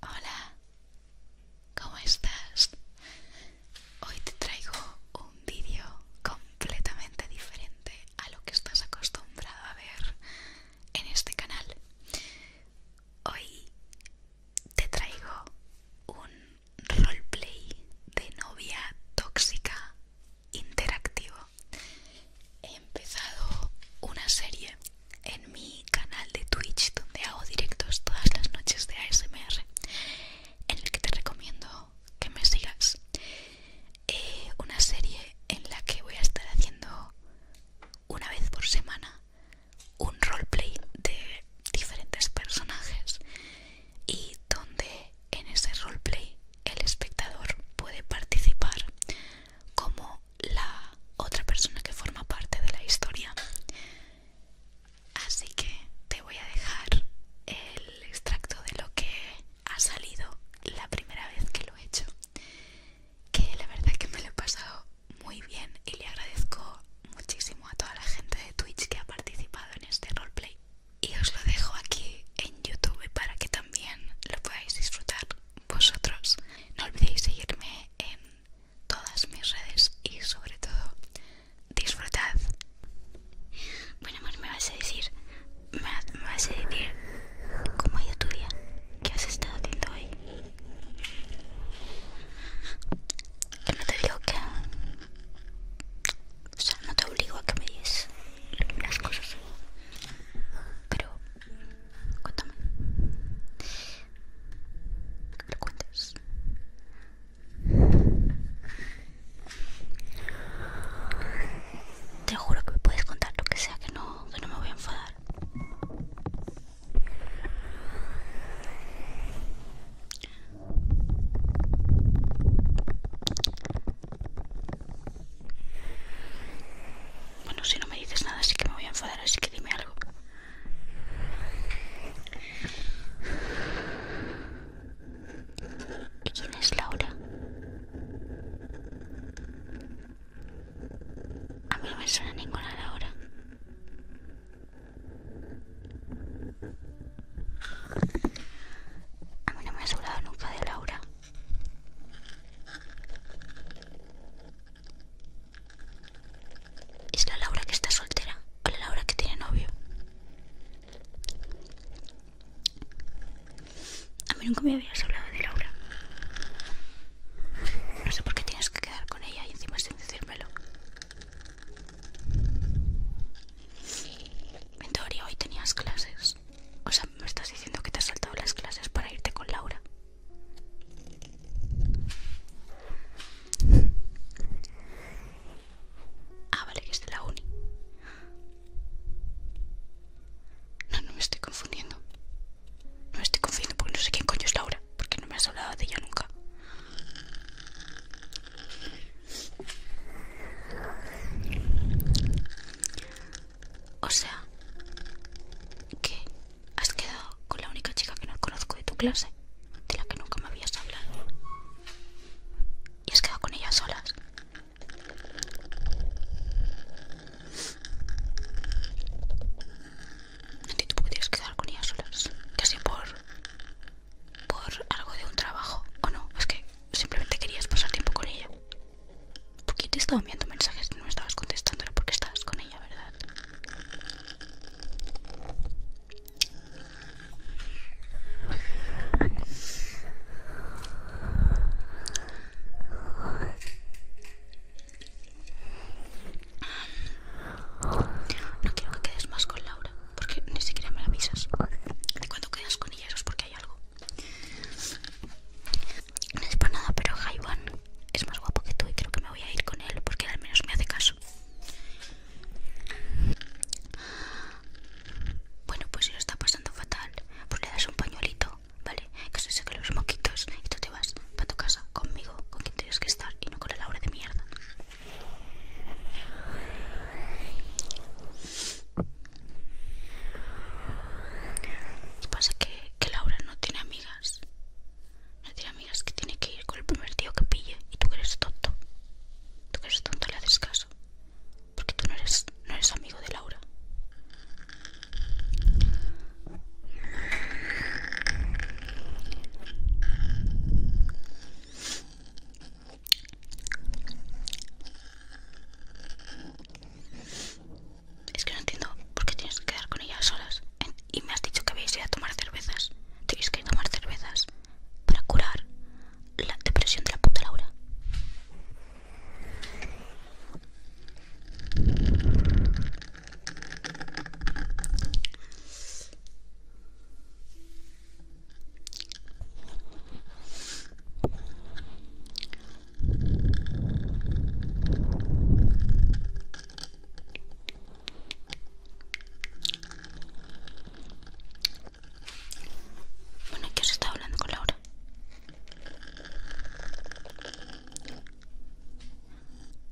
Hola, ¿cómo estás? Hoy te traigo un vídeo completamente diferente a lo que estás acostumbrado a ver en este canal. Hoy te traigo un roleplay de novia tóxica interactivo. He empezado una serie en mi canal de Twitch donde hago directos todas las noches de ASMR en el que te recomiendo que me sigas eh, una serie en la que voy a estar haciendo una vez por semana un roleplay de diferentes personajes y donde en ese roleplay el espectador puede participar como la otra persona que forma parte de la historia. Así que te voy a dejar el extracto de lo que ha salido la primera vez que lo he hecho. Que la verdad que me lo he pasado muy bien y le agradezco muchísimo a toda la gente de Twitch que ha participado en este roleplay. Y os lo dejo aquí en YouTube para que también lo podáis disfrutar vosotros. No olvidéis seguirme en todas mis redes y sobre todo disfrutad. Bueno amor, me vas a decir, me, vas a decir cómo ha ido tu día, qué has estado haciendo hoy. no te digo que... O sea, no te obligo a que me digas las cosas. Pero Cuéntame. Que me lo cuentes. Te juro que me puedes contar lo que sea, que no, que no me voy a enfadar. Bueno, si no me dices nada, sí que me voy a enfadar, así que dime algo. ¿Y quién es Laura? A mí no me suena ninguna Laura. A mí no me ha sobrado nunca de Laura. ¿Es la Laura que está soltera o la Laura que tiene novio? A mí nunca me habías hablado de Laura. No sé por qué tienes que quedar con ella y encima sin decírmelo. En teoría hoy tenías clases. O sea, me estás diciendo que te has saltado las clases para irte con Laura. Ah, vale, que es de la uni. No, no me estoy confundiendo. No me estoy confundiendo porque no sé quién coño es Laura, porque no me has hablado de ella nunca. O sea, que ¿Has quedado con la única chica que no conozco de tu clase? De la que nunca me habías hablado. ¿Y has quedado con ella solas? No entiendo quedar con ella solas. Casi por... por algo de un trabajo. O no, es que simplemente querías pasar tiempo con ella. Porque te estaba enviando mensajes y no estabas contestando, porque estabas con ella, ¿verdad? No quiero que quedes más con Laura, porque ni siquiera me la avisas. de cuando quedas con ella es porque hay algo. No es para nada, pero Jaiwan es más guapo que tú y creo que me voy a ir con él porque al menos me hace caso. Bueno, pues si lo está pasando fatal, pues le das un pañuelito, ¿vale? Que se seque los moquitos y tú te vas para tu casa conmigo, con quien tienes que estar y no con la Laura de mierda. pasa que, que Laura no tiene amigas no tiene amigas que tiene que ir con el primer tío que pille y tú que eres tonto. Tú que eres tonto le haces caso. Porque tú no eres, no eres amigo de Laura. Es que no entiendo por qué tienes que quedar con ella solas. Y me has dicho que habéis ido a tomar cervezas. Tenéis que tomar cervezas para curar la depresión de la puta Laura. Bueno, ¿qué os estaba hablando con Laura?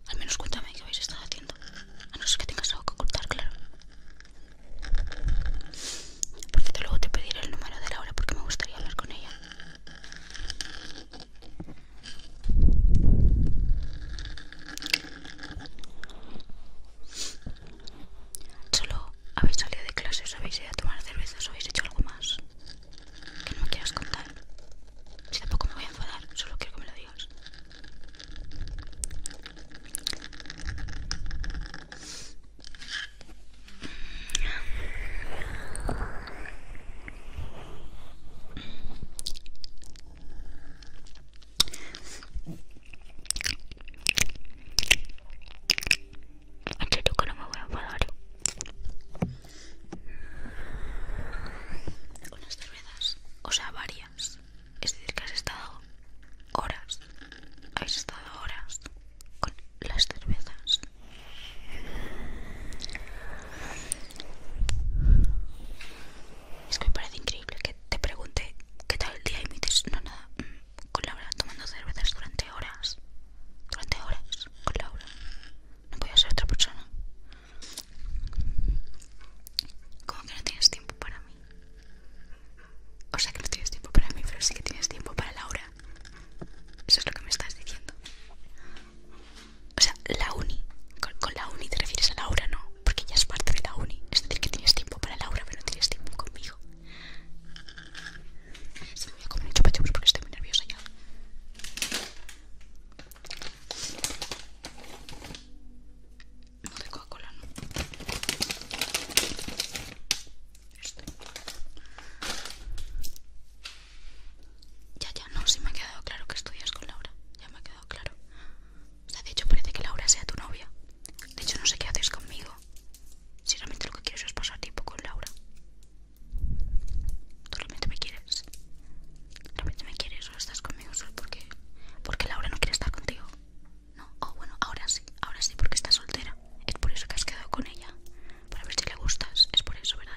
Al menos cuéntame qué habéis estado haciendo. A no ser que tengas algo que ocultar, claro. Por luego te pediré el número de Laura porque me gustaría hablar con ella. Solo habéis salido de clase, os habéis ido a tomar cervezas, o habéis hecho algo más que no me quieras contar. Si tampoco me voy a enfadar, solo quiero que me lo digas. Entre tú que no me voy a ¿Con unas cervezas, o sea varias, es decir que has estado horas, Has estado horas con las cervezas. Es que me parece increíble que te pregunte qué tal el día y me dices, no, nada, mm, con Laura, tomando cervezas durante horas. Durante horas, con Laura. No podía ser otra persona. Como que no tienes tiempo para mí. O sea que no tienes tiempo para mí, pero sí que tienes tiempo para Laura. Eso es lo que me estás diciendo. O sea, la uni. Con, la uni te refieres a Laura, ¿no? Porque ya es parte de la uni. Es decir, que tienes tiempo para Laura, pero no tienes tiempo conmigo. Se me voy a comer chupachups pues, porque estoy muy nerviosa ya. No de Coca-Cola, no. Ya, ya, no, si me ha quedado claro que estudias con Laura. Ya me ha quedado claro. O sea, de hecho parece que Laura sea tu novia. De hecho no sé qué haces conmigo. Si realmente lo que quieres es pasar tiempo con Laura. ¿Tú realmente me quieres? ¿Realmente me quieres o estás conmigo solo porque... Porque Laura no quiere estar contigo. No, o oh, bueno, ahora sí, ahora sí porque está soltera. Es por eso que has quedado con ella. Para ver si le gustas, es por eso, ¿verdad?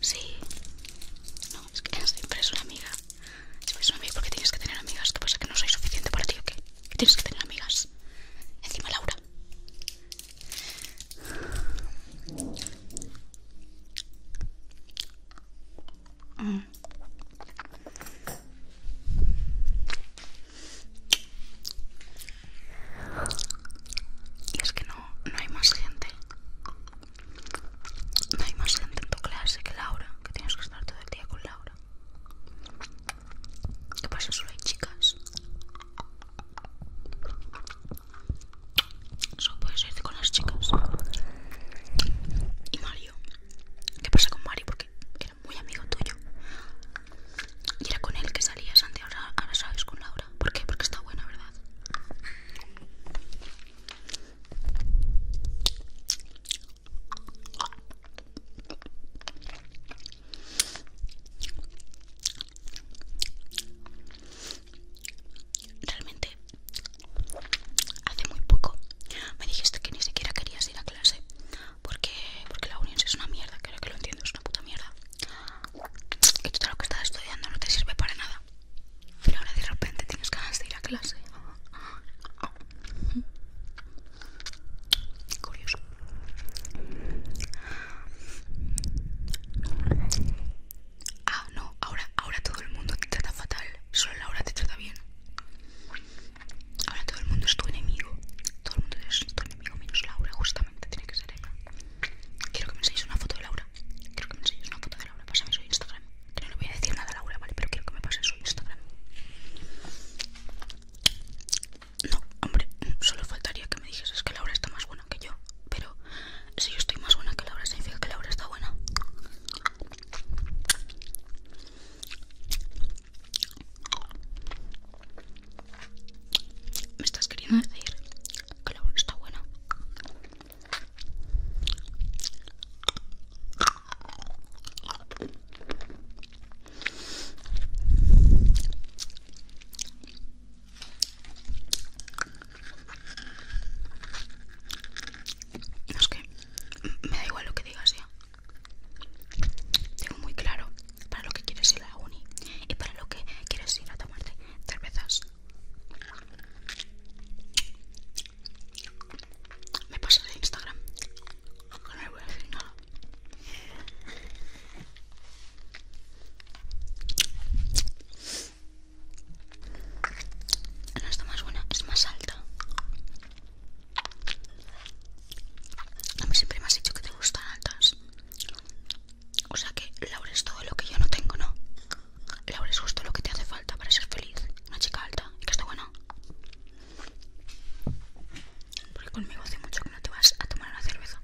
Sí. No, es que siempre es una amiga. Siempre es una amiga porque tienes que tener amigas. ¿Qué pasa? ¿Que no soy suficiente para ti o qué? tienes que tener amigas. Encima Laura. Mm. Y es que no, hay más gente. No hay más gente en tu clase que Laura, que tienes que estar todo el día con Laura. ¿Qué pasa? Solo hay chicas. Solo puedes irte con las chicas. Y Mario. ¿Qué pasa con Mario? Porque muy amigo tuyo y era con él que salías antes, ahora, ahora sabes con Laura. ¿Por qué? Porque está buena, ¿verdad? Realmente, hace muy poco me dijiste que ni siquiera querías ir a clase porque, porque la unión es una mierda, creo que lo entiendo, es una puta mierda. Y todo lo que estás estudiando no te sirve para nada. Pero ahora de repente tienes ganas de ir a clase. Curioso. Ah, no, ahora, ahora todo el mundo te trata fatal. Solo Laura te trata bien. Ahora todo el mundo es tu enemigo. Todo el mundo es tu enemigo menos Laura, justamente tiene que ser ella. Quiero que me enseñes una foto de Laura. Quiero que me enseñes una foto de Laura. Pásame su Instagram. Que no le voy a decir nada a Laura, ¿vale? Pero quiero que me pases su Instagram. No, hombre, mm, solo faltaría que me dijes es que Laura está más buena que yo. Pero si yo estoy más buena que Laura, significa que Laura está buena. ¿Me estás queriendo decir que la está buena? es que me da igual lo que digas ya. ¿eh? Tengo muy claro para lo que quieres ir a la uni y para lo que quieres ir a tomarte cervezas. Me pasas de Instagram. no le voy a decir nada. No está más buena, es más alta. A mí siempre me has dicho que te gustan altas. O sea que Laura es todo lo que yo no tengo, ¿no? Laura es justo lo que te hace falta para ser feliz. Una chica alta y que está buena. Porque conmigo hace mucho que no te vas a tomar una cerveza.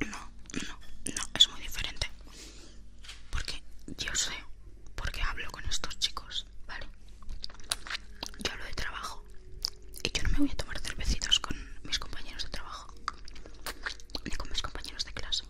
No, no, no, es muy diferente. Porque yo sé, porque hablo con estos chicos, ¿vale? Yo hablo de trabajo. Y yo no me voy a tomar cervecitos con mis compañeros de trabajo. Ni con mis compañeros de clase.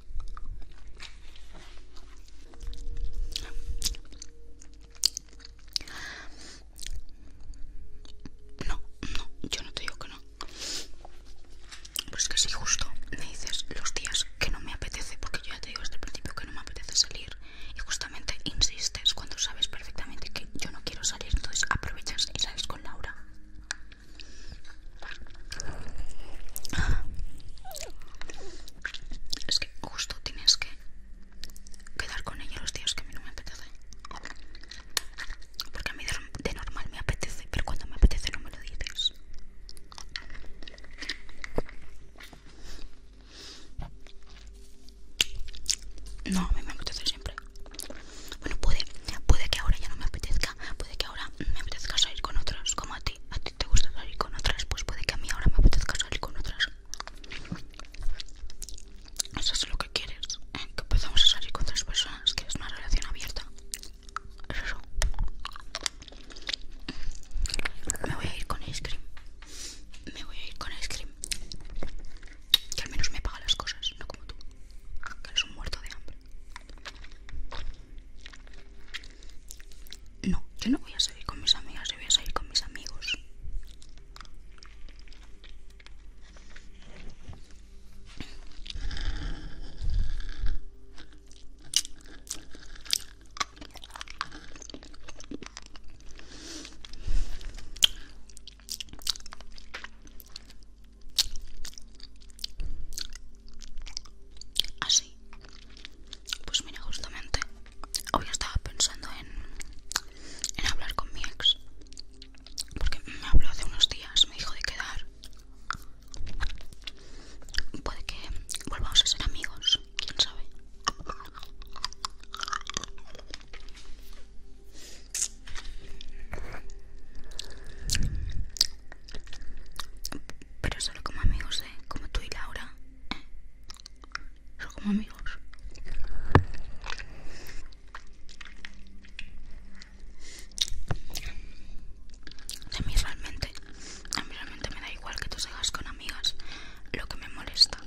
No, no, yo no te digo que no. Pues es que si justo me dices los días que no me apetece, porque yo ya te digo desde el principio que no me apetece salir, y justamente insistes cuando sabes perfectamente que yo no quiero salir, entonces aprovechas y sales con Laura. Es que justo tienes que quedar con ella los días que a mí no me apetece. Porque a mí de normal me apetece, pero cuando me apetece no me lo dices. No, a mí me apetece siempre. Bueno, puede, que ahora ya no me apetezca, puede que ahora me apetezca salir con otros como a ti. A ti te gusta salir con otras, pues puede que a mí ahora me apetezca salir con otras. Eso es lo que quieres. ¿eh? Que empezamos salir con tres personas. que es una relación abierta. eso. Me voy a ir con ice cream. Me voy a ir con ice cream. Que al menos me paga las cosas, no como tú. Que eres un muerto de hambre. No, yo no voy a salir con mis amigas, yo voy a salir con mis amigos. Así. Pues mira, justamente hoy estaba pensando en, en hablar con mi ex porque me habló hace unos días, me dijo de quedar. Puede que volvamos a ser amigos, quién sabe. Pero solo como amigos, ¿eh? Como tú y Laura. ¿eh? Solo como amigos. A mí realmente, realmente me da igual que tú salgas con amigas. Lo que me molesta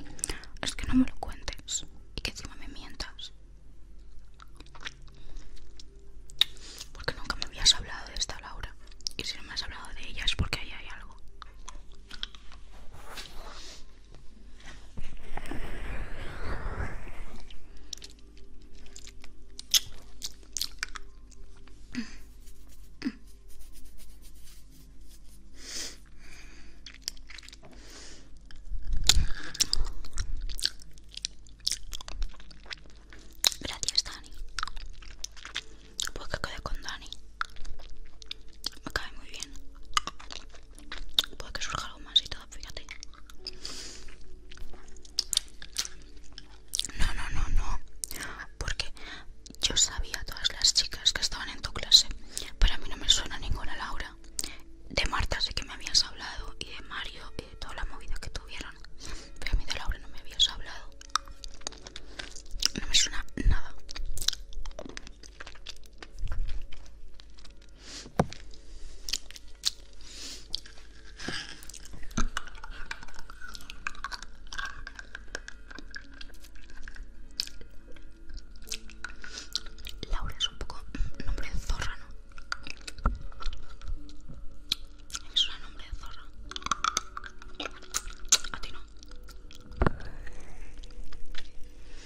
es que no me lo cuentes y que encima me mientas. Porque nunca me habías hablado de esta Laura. Y si no me has hablado de ella es porque ahí hay algo. Gracias, Dani. Pues que quede con Dani. Me cae muy bien. Puede que surja algo más y todo, fíjate. No, no, no, no. Porque yo sabía todas las chicas que estaban en tu clase. para mí no me suena ninguna Laura. De Marta sé que me habías hablado. Y de Mario y de toda la movida que tuvieron. Pero a mí de Laura no me habías hablado. No me suena nada. Laura es un poco nombre de zorra, ¿no? Es un nombre de zorra. A ti no.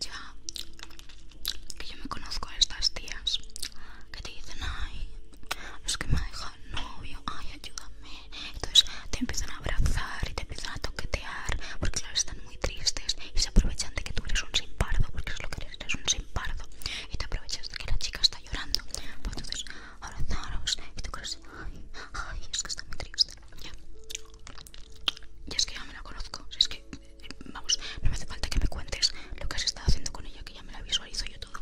ya que yo me conozco a estas tías que te dicen ay es que me ha novio ay ayúdame entonces te empiezan a abrazar y te empiezan a toquetear porque claro están muy tristes y se aprovechan de que tú eres un simpardo porque es lo que eres eres un simpardo y te aprovechas de que la chica está llorando pues entonces abrazaros y tú crees ay ay es que está muy triste ya y es que ya me la conozco si es que Vamos, no me hace falta que me cuentes lo que has estado haciendo con ella, que ya me la visualizo yo todo.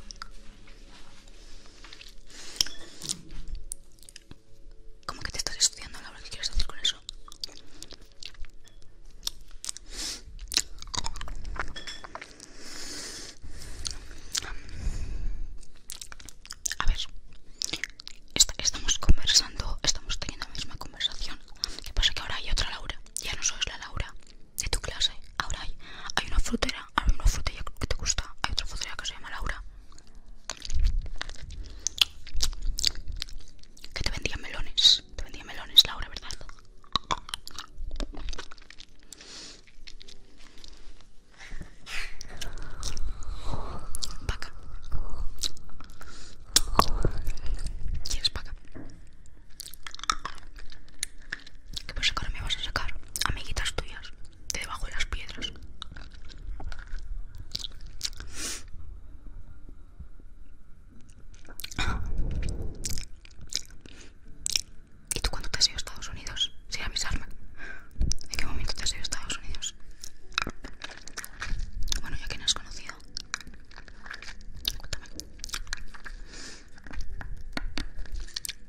¿Cómo que te estás estudiando, Laura? ¿Qué quieres hacer con eso? A ver, estamos conversando, estamos teniendo la misma conversación ¿Qué pasa? Que ahora hay otra Laura. Ya no sois la Laura de tu clase. Ahora hay, una frutera. Hay una frutera que te gusta. Hay otra frutera que se llama Laura. Que te vendía melones. Te vendía melones, Laura, ¿verdad? Vaca. ¿Quieres vaca? ¿Qué por sacar me vas a sacar? Amiguitas tuyas, de debajo de las piedras. ¿Y tú cuándo te has ido a Estados Unidos? mis arma? ¿En qué momento te has ido a Estados Unidos? Bueno, ya que no has conocido.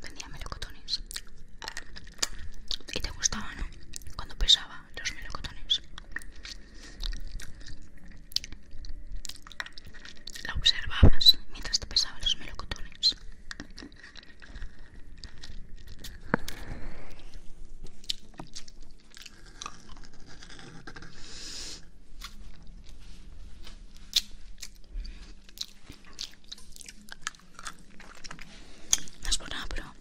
Vendía melocotones. ¿Y te gustaba, no? Cuando pesaba los melocotones. La observabas mientras te pesaba los melocotones. No es por pero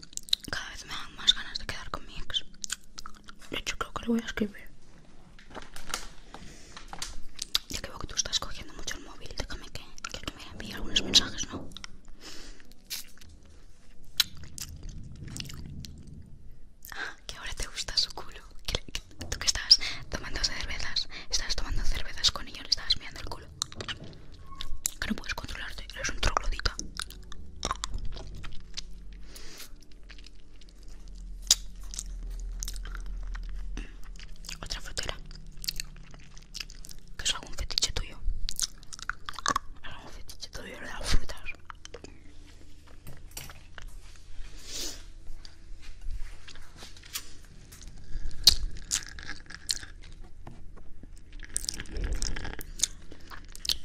cada vez me dan más ganas de quedar con mi ex. De hecho, creo que lo voy a escribir. Ya que que tú estás cogiendo mucho el móvil, déjame que, que me envíe algunos mensajes, ¿no? Ah, que ahora te gusta su culo. tú que estabas tomando cervezas, estabas tomando cervezas con ellos, le estabas mirando el culo. Que no puedes controlarte, eres un troglodita. Otra frutera. Que es algún fetiche tuyo. Es algún fetiche tuyo de las frutas.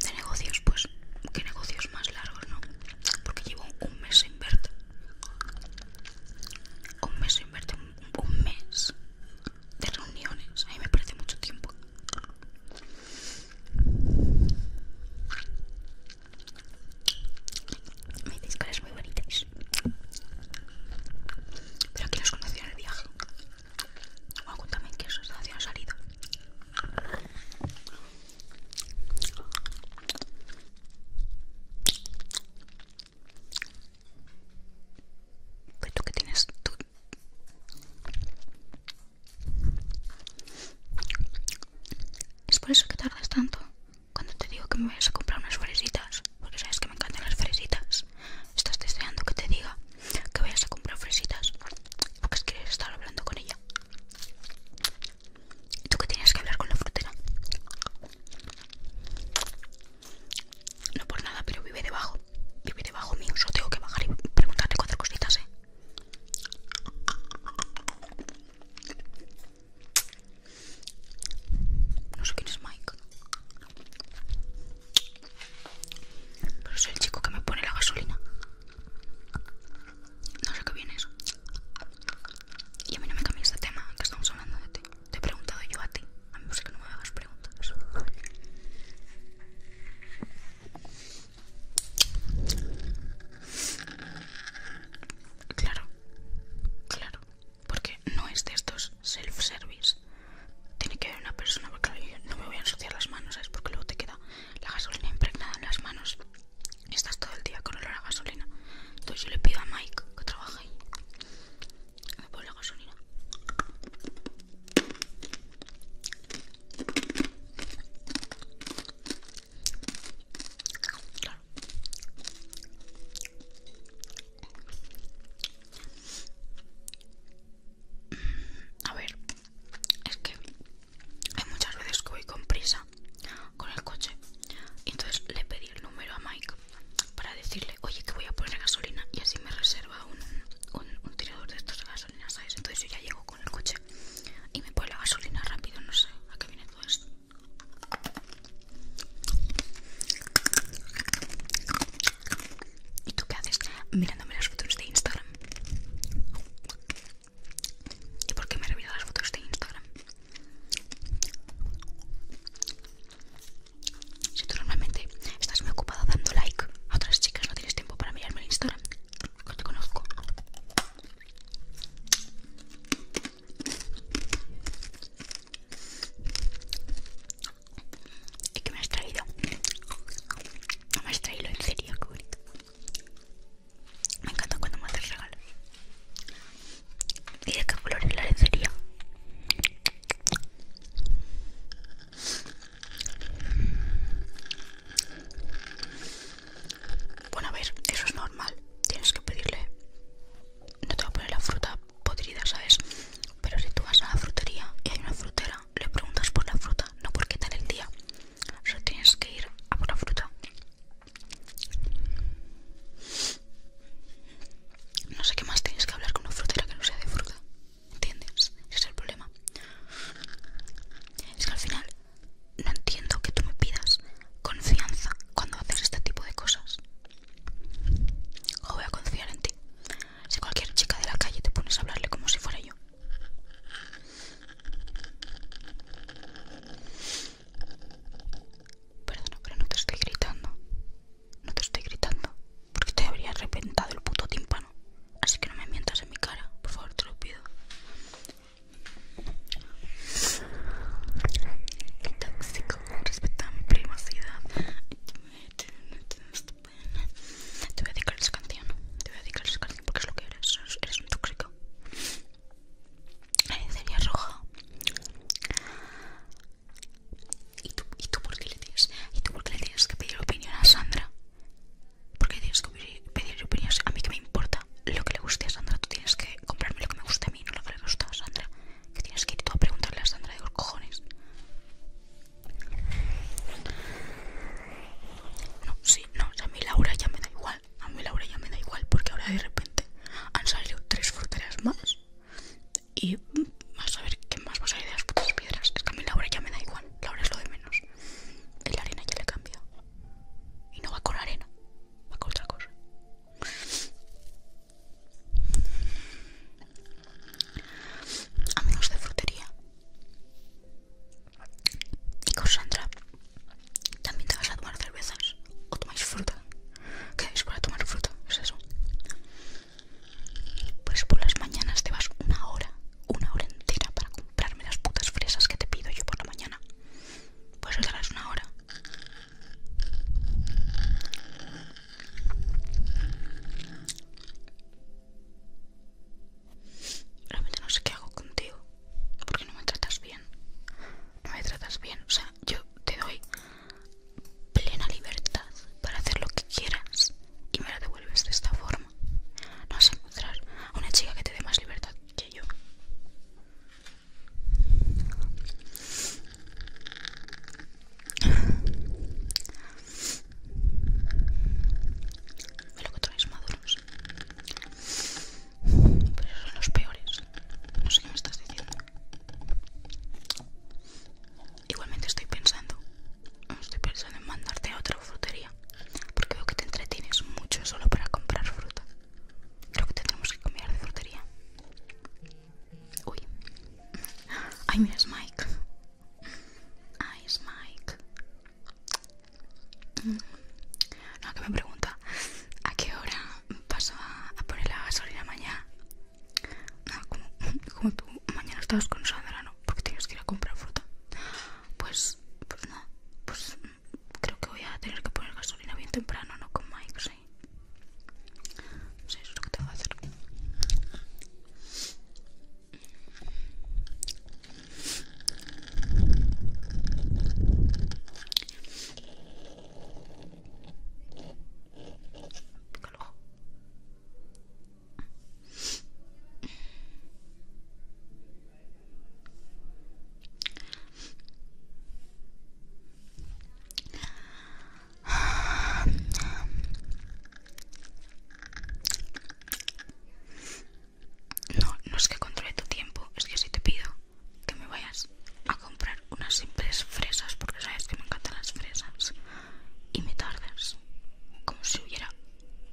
De negocios, pues, qué negocios más largos, ¿no? Porque llevo un mes sin verte. Un mes sin verte, un mes de reuniones. A mí me parece mucho tiempo. Me dices cosas muy bonitas. Pero aquí los conocí en el viaje. Bueno, cuéntame ¿qué qué asociación has salido. Pero pues tú ¿qué tienes tú es por eso que tardas tanto cuando te digo que me vayas a comprar unas fresitas, porque sabes que me encantan las fresitas. Estás deseando que te diga que vayas a comprar fresitas, porque quieres estar hablando con ella. ¿Y tú qué tienes que hablar con la frutera? No por nada, pero vive debajo. Vive debajo mío, solo tengo que bajar y preguntarte cuatro cositas, ¿eh? No sé quién es Mike. Pero soy el chico que me pone la gasolina. No sé qué viene eso Y a mí no me cambia este tema, que estamos hablando de ti. Te he preguntado yo a ti. A mí me gusta que no me hagas preguntas. Claro, claro, porque no es de estos self-service. Tiene que haber una persona, porque no me voy a ensuciar las manos, ¿sabes? Porque luego te queda la gasolina impregnada en las manos estás todo el día con olor a gasolina. Entonces yo le pido a Mike que trabaje ahí. Me pongo la gasolina. A ver, es que hay muchas veces que voy con prisa con el coche. entonces le pedí el número a Mike para decirle, oye, que voy a poner gasolina y así me reserva un, un tirador de estos de gasolina, ¿sabes? Entonces yo ya llego con el coche y me pone la gasolina rápido, no sé a qué viene todo esto. ¿Y tú qué haces? Mirándome las fotos de Instagram. ¿Y por qué me revisas las fotos de Instagram? Si tú normalmente estás muy ocupada dando like a otras chicas, no tienes tiempo para mirarme el Instagram. no te conozco. ¿Y qué me has traído? No me has traído, en serio, Me encanta cuando me haces regalos. Mira qué color es la lencería? Bueno, a ver, eso es normal. Tienes que pedirle. No te va a poner la fruta podrida, ¿sabes? Pero si tú vas a la frutería y hay una frutera, le preguntas por la fruta, no por qué tal el día. Solo tienes que ir a por la fruta. No sé qué más tienes que hablar con una frutera que no sea de fruta. ¿Entiendes? Ese es el problema. Es que al final no entiendo que tú me pidas confianza cuando haces este tipo de cosas. O voy a confiar en ti. Si cualquier chica de la calle te pones a hablarle como si fuera yo. Perdona, pero no te estoy gritando. No te estoy gritando. Porque te habría reventado el puto tímpano. Así que no me mientas en mi cara. Por favor, te lo pido. Qué tóxico, respeta mi privacidad. Te voy a dedicar esa canción. Te voy a dedicar esa canción porque es lo que eres. Eres un tóxico. Sería roja. ¿Y tú, ¿Y tú por qué le tienes? ¿Y tú por qué le tienes que pedir opinión a Sandra? ¿Por qué le tienes que pedir, pedir opinión a mí que me importa? lo que le guste a Sandra, tú tienes que comprarme lo que me guste a mí, no lo que le gusta a Sandra. Que tienes que ir tú a preguntarle a Sandra de los cojones. No, sí, no, a mí Laura ya me da igual. A mí Laura ya me da igual porque ahora de repente han salido tres fruteras más. Y vas a ver qué más va a salir de las putas piedras. Es que a mí Laura ya me da igual. Laura es lo de menos. Y La arena ya le cambia. Y no va con arena cosa Amigos de frutería. Y con Sandra también te vas a tomar cervezas o tomáis fruta. ¿Qué es para tomar fruta? Es eso. Pues por las mañanas te vas una hora, una hora entera para comprarme las putas fresas que te pido yo por la mañana. Pues tardarás una hora. Realmente no sé qué hago contigo. Porque no me tratas bien. No me tratas bien. O sea, yo te doy plena libertad para hacer lo que quieras y me la devuelves de esta forma. No vas a encontrar a una chica que te dé más libertad que yo que traes maduros. Pero son los peores. No sé qué me estás diciendo. Igualmente estoy pensando. Estoy pensando en mandarte a otra frutería. Porque veo que te entretienes mucho solo para comprar fruta. Creo que tendremos que cambiar de frutería. Uy. Ay, mira, es Ay, Smike. Ah, no, que me pregunta. ¿A qué hora paso a, poner la gasolina mañana? No, como, como tú mañana estabas con Sandra, ¿no? Porque tenías que ir a comprar fruta. Pues, pues no. Pues creo que voy a tener que poner gasolina bien temprano, no con Mike, sí. Sí, eso es lo que tengo que hacer. Pica el no, no es que controle tu tiempo, es que si te pido que me vayas a comprar unas simples fresas, porque sabes que me encantan las fresas, y me tardas como si hubiera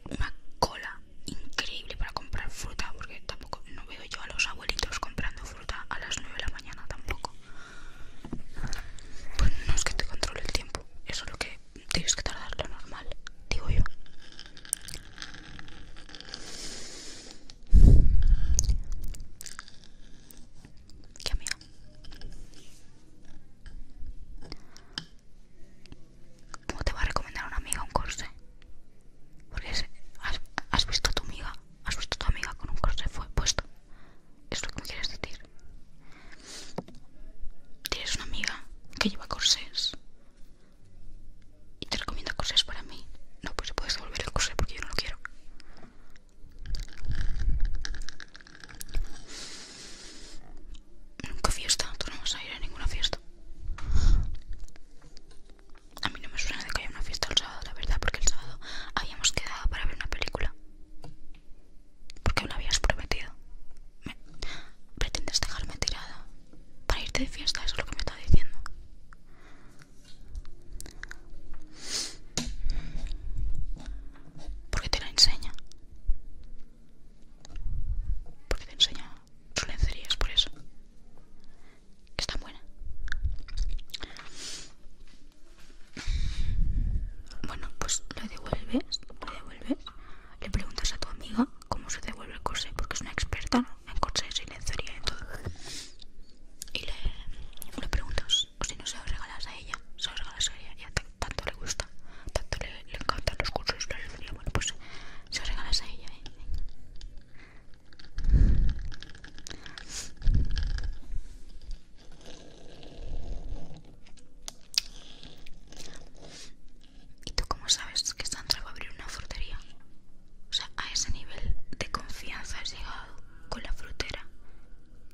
una cola increíble para comprar fruta porque tampoco no veo yo a los abuelitos comprando fruta a las 9 de la mañana tampoco pues no es que te controle el tiempo eso es lo que tienes que tardar lo normal digo yo qué amigo ¿Cómo te va a recomendar una amiga un corse? Porque has, visto a tu amiga, has visto a tu amiga con un corsé puesto. Es lo que me quieres decir. Tienes una amiga que lleva corsés y te recomienda corsés para mí. No, pues puedes devolver el corsé porque yo no lo quiero. Nunca fiesta, tú no vas a ir a ninguna fiesta. A mí no me suena de que haya una fiesta el sábado, la verdad, porque el sábado habíamos quedado para ver una película. Porque me lo habías prometido. Pretendes dejarme tirada para irte de fiesta, eso es lo que me está diciendo. Porque te la enseña. Porque te enseña su lencería, es por eso está buena. Bueno, pues lo devuelves, le preguntas a tu amiga cómo se devuelve el corsé, porque es una experta en corsés y lencería y todo. Y le, preguntas, si no se lo regalas a ella, se lo regalas a ella, tanto le gusta, tanto le, encantan los corsés, bueno, pues se lo regalas a ella. ¿eh? ¿Y tú cómo sabes que está va a abrir una frutería? O sea, a ese nivel de confianza has llegado con la frutera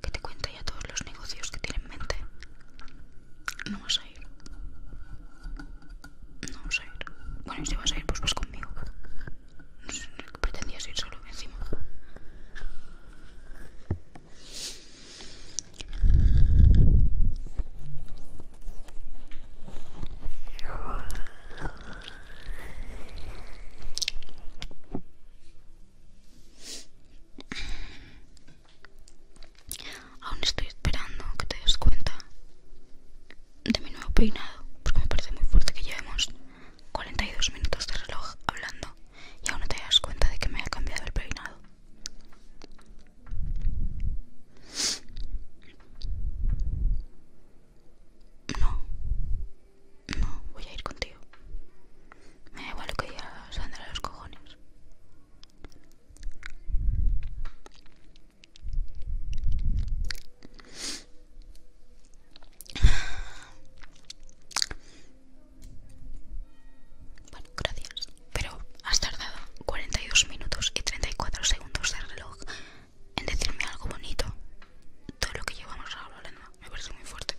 que te cuenta ya todos los negocios que tiene en mente. No vas a ir. No vas a ir. Bueno, y si vas a ir, pues vas conmigo pretendía ir solo encima. Aún estoy esperando que te des cuenta de mi nuevo peinado, porque me parece muy fuerte que llevemos 42 minutos de reloj hablando y aún no te das cuenta de que me ha cambiado el peinado. No, no, voy a ir contigo. Me da igual lo que diga Sandra a los cojones. Bueno, gracias. Pero has tardado 42 minutos y 34 segundos de reloj en decirme algo bonito. Todo lo que llevamos hablando me parece muy fuerte.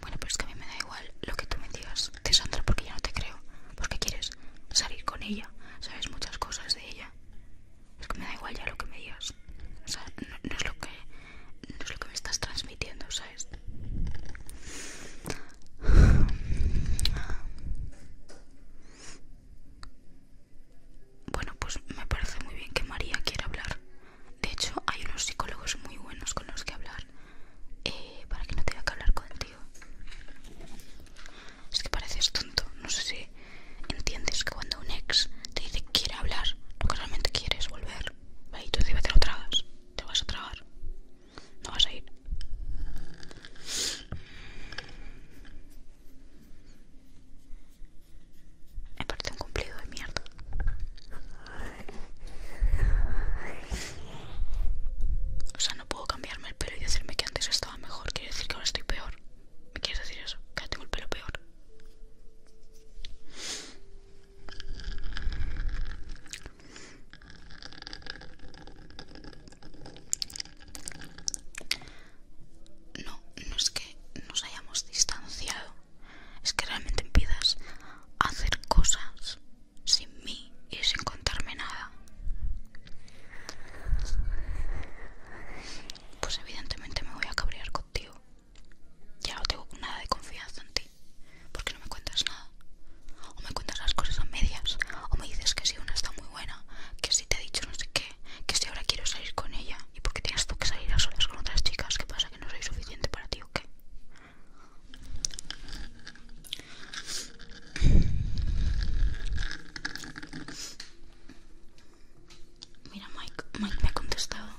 Bueno, pues es que a mí me da igual lo que tú me digas de Sandra porque ya no te creo. Porque quieres salir con ella, sabes muchas cosas de ella. Es que me da igual ya lo que me digas. O sea, es, lo que, no es lo que me estás transmitiendo, ¿sabes? Bueno, pues me parece muy bien que María quiera hablar. De hecho, hay unos psicólogos muy buenos con los que hablar. Eh, para que no tenga que hablar contigo. Es que pareces tonto, no sé si entiendes que cuando un ex te dice que quiere hablar, lo que realmente quieres es volver. Y tú te lo tragas, te lo vas a tragar, no vas a ir. Me parece un cumplido de mierda. O sea, no puedo cambiarme el pelo y decirme que antes estaba mejor. Quiero decir que ahora estoy peor. ¿Me quieres decir eso? Que ahora tengo el pelo peor. No, no es que nos hayamos distanciado. Es que realmente empiezas a hacer cosas sin mí y sin contarme nada. Pues evidentemente me voy a cabrear contigo. Ya no tengo nada de confianza en ti, porque no me cuentas nada. O me cuentas las cosas a medias, o me dices que si una está muy buena, que si te he dicho no sé qué, que si ahora quiero salir con ella y porque tienes tú que salir a solas con otras chicas, Que pasa? ¿Que no soy suficiente para ti o qué? Mira, Mike, Mike me ha contestado.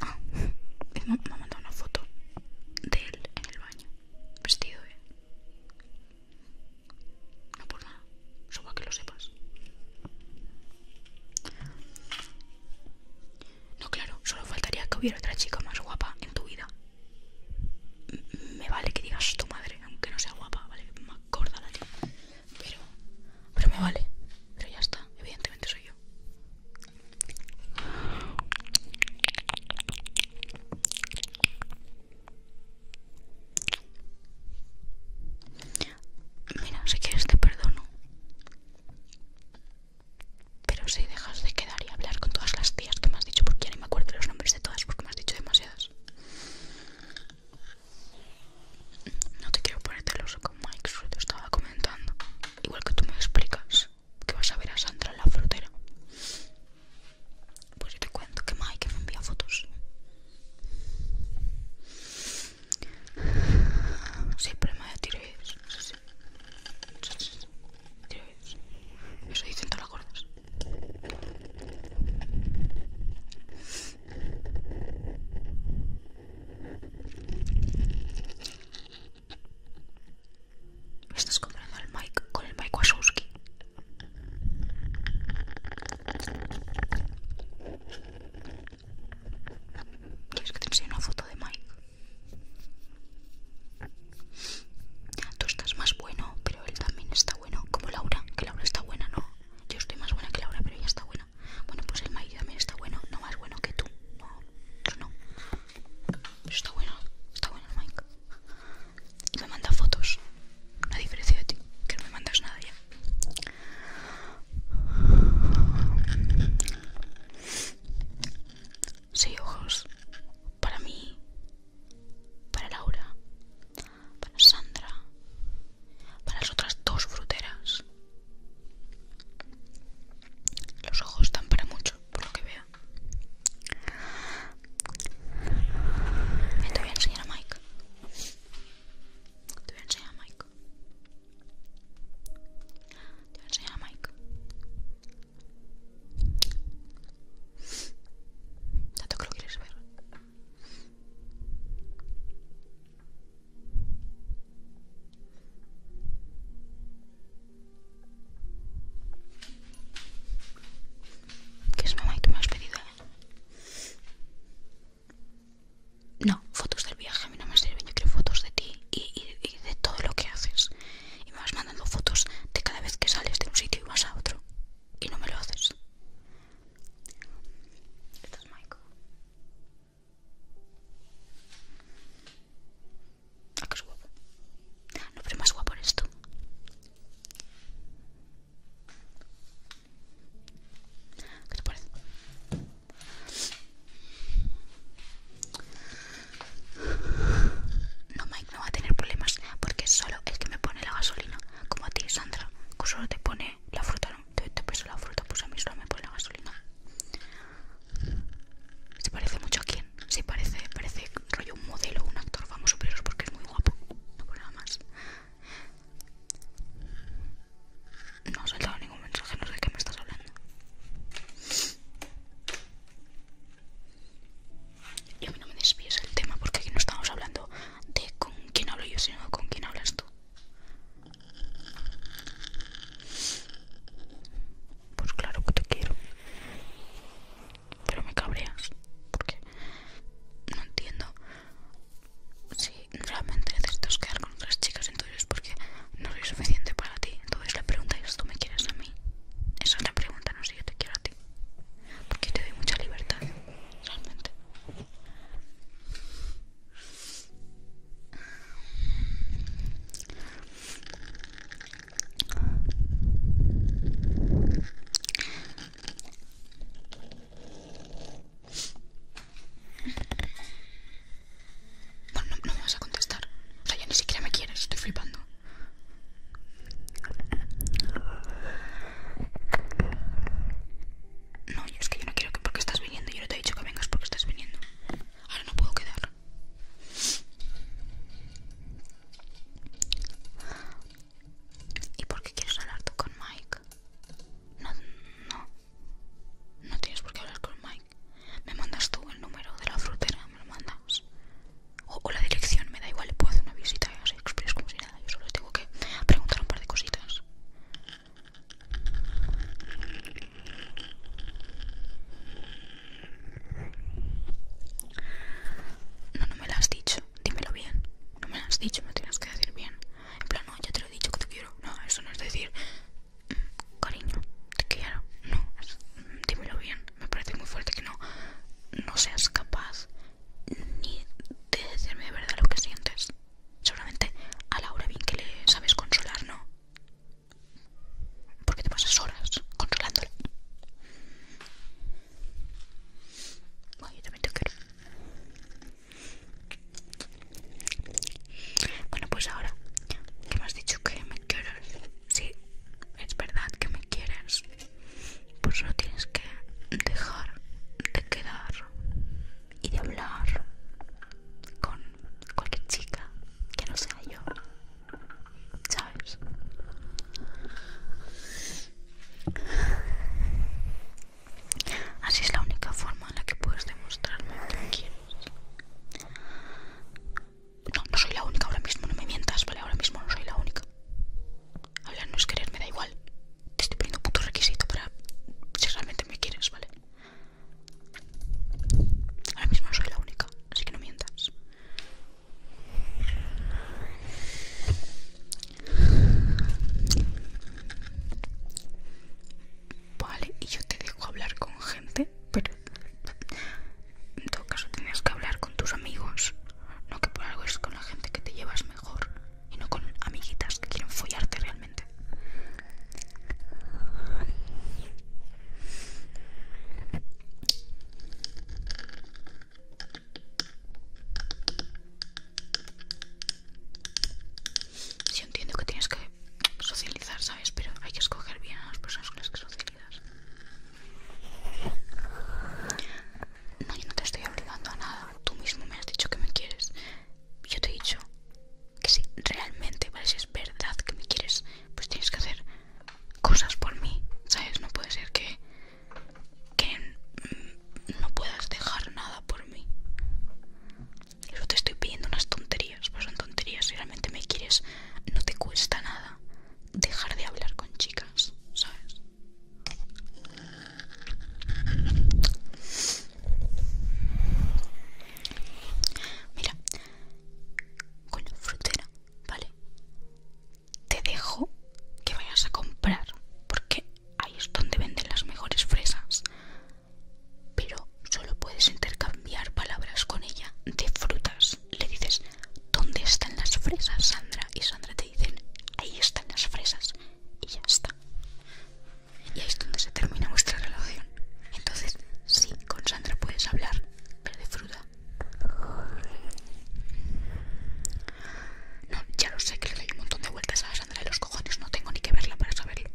Ah, me ha mandado una foto de él en el baño, vestido, No por nada, solo para que lo sepas. No, claro, solo faltaría que hubiera otra chica más guapa en tu vida me vale que digas tu madre, aunque no sea guapa, ¿vale? Me acorda la tía. Pero, pero me vale. Pero ya está, evidentemente soy yo. Mira, si quieres te perdono. Pero si dejas de quedar y hablar con todas las tías que me has dicho, porque ya ni me acuerdo los nombres de todas, porque me has dicho demasiadas. No te quiero ponerte los con Mike, eso te estaba comentando. Igual que tú me explicas que vas a ver a Sandra en la frontera Pues yo te cuento que Mike me envía fotos. Siempre me tiro sí, eso dicen todas las gordas. estás comprando el Mike con el Mike Wachowski? ¿Quieres que te enseñe una foto de Mike? Ah, tú estás más bueno, pero él también está bueno. Como Laura, que Laura está buena, ¿no? Yo estoy más buena que Laura, pero ella está buena. Bueno, pues el Mike también está bueno, no más bueno que tú. No, no. Pero está bueno, está bueno el Mike. Y me manda fotos. hay diferencia de ti, que no me mandas nada ya. Sí, ojos para mí, para Laura, para Sandra, para las otras dos fruteras. Los ojos están para mucho, por lo que veo. Te voy a enseñar a Mike. Te voy a enseñar a Mike. Te voy a enseñar a Mike. Tanto que lo quieres ver. ¿Qué es mamá y tú me has pedido? Eh? No, fotos del viaje a mí no me sirven. Yo quiero fotos de ti y de todo lo que haces y me vas mandando fotos de cada vez que sales de un sitio y vas a otro y no me lo haces. Esto es Maiko? Ah, que es guapo. No, pero más guapo eres tú. ¿Qué te parece? No, oh Mike no va a tener problemas porque es solo el que me pone la gasolina. Como a ti, Sandra, que solo te pone la fruta, ¿no? Te, te peso la fruta, pues a mí solo me pone la gasolina. ¿Se parece mucho a quién? Se parece, parece rollo un modelo, un actor vamos, pero porque es muy guapo. No puedo nada más. No ha saltado ningún mensaje, no sé de qué me estás hablando. Y a mí no me desvíes el tema porque aquí no estamos hablando de con quién hablo yo, sino con quién hablas tú. Pues claro que te quiero. Pero me cabreas. Porque no entiendo si realmente necesitas quedar con otras chicas entonces porque no soy suficiente para ti. Entonces la pregunta es, ¿tú me quieres a mí? Esa es la pregunta, no yo te quiero a ti. Porque te doy mucha libertad, realmente. Bueno, no, no me vas a contestar. O sea, ya ni siquiera me quieres, estoy flipando. No, es que yo no quiero que porque estás viniendo. Yo no te he dicho que vengas porque estás viniendo. Ahora no puedo quedar. ¿Y por qué quieres hablar tú con Mike? No, no. No tienes por qué hablar con Mike. Me mandas tú el número de la frutera, me lo mandas o, la dirección, me da igual, le puedo hacer una visita Express como si nada, yo solo tengo que preguntar un par de cositas. No, no me lo has dicho, dímelo bien. No me lo has dicho, me tienes que decir bien. En plan, no, ya te lo he dicho que te quiero. No, eso no es decir, mm, cariño, te quiero. No, mm, dímelo bien me parece muy fuerte que no, no seas capaz ni de decirme de verdad lo que sientes. Seguramente a Laura bien que le sabes consolar, ¿no? Porque te pasas horas controlándola. Bueno, yo también te quiero. Bueno, pues ahora ¿Qué me has dicho que me quiero sí, es verdad que me quieres, pues no tienes que dejar de quedar y de hablar con cualquier chica que no sea yo, ¿sabes? Así es la única forma en la que puedes demostrarme que me quieres. No, no soy la única ahora mismo, no me mientas, ¿vale? Ahora mismo no soy la única. Hablar no es querer, me da igual. Te estoy poniendo puto requisito para si realmente me quieres, ¿vale? Ahora mismo no soy la única, así que no mientas. Vale, y yo te dejo hablar con gente, pero en todo caso tienes que hablar con tus amigos. No que por algo es con la gente que te llevas mejor. Y no con amiguitas que quieren follarte realmente. Sí entiendo que tienes que socializar, ¿sabes? Pero hay que escoger bien a las personas con las que socializar. No, yo no te estoy obligando a nada. Tú mismo me has dicho que me quieres. Yo te he dicho que si realmente, ¿vale? Si es verdad que me quieres, pues tienes que hacer cosas por mí, ¿sabes? No puede ser que, que mm, no puedas dejar nada por mí. Yo te estoy pidiendo unas tonterías, pues son tonterías. Si realmente me quieres, no te cuesta nada dejar de hablar con chicas, ¿sabes? Mira, con la frutera, ¿vale? Te dejo que vayas a comprar, porque ahí es donde venden las mejores fresas. Pero solo puedes intercambiar palabras con ella de frutas le dices, ¿dónde están las fresas, Sandra? Y Sandra te dicen, ahí están las fresas. Y ya está. Y ahí es donde se termina vuestra relación. Entonces, sí, con Sandra puedes hablar, pero de fruta. No, ya lo sé que le doy un montón de vueltas a Sandra de los cojones, no tengo ni que verla para saberlo.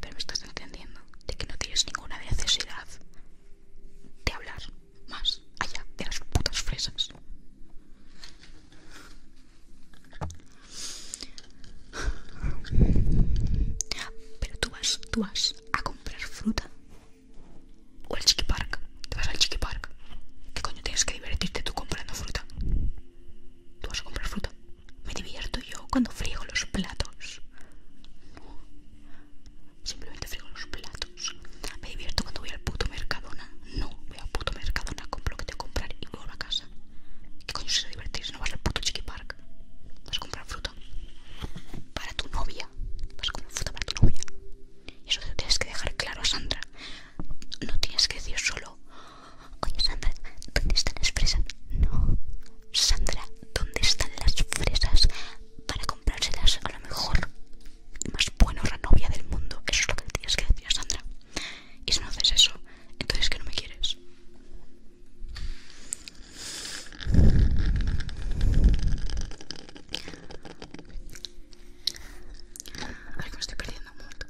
Pero me estás entendiendo de que no tienes ninguna necesidad de hablar más allá de las putas fresas. Pero tú vas, tú vas a comprar fruta o el Chiqui Park. Te vas al Chiqui Park. ¿Qué coño tienes que divertirte tú comprando fruta? Tú vas a comprar fruta. Me divierto yo cuando friego los platos. Simplemente frigo los platos. Me divierto cuando voy al puto Mercadona. No, voy al puto Mercadona, compro lo que tengo que comprar y vuelvo a casa. ¿Qué coño se divertir si no vas al puto Chiqui Park? Vas a comprar fruta para tu novia. Vas a comprar fruta para tu novia. Y eso te tienes que dejar claro a Sandra. No tienes que decir solo, oye Sandra, ¿dónde están las fresas? No, Sandra, ¿dónde están las fresas para comprárselas? A lo mejor más buena novia del mundo. Eso es lo que le tienes que decir a Sandra. Y si no haces eso, entonces que no me quieres. A ver que me estoy perdiendo mucho.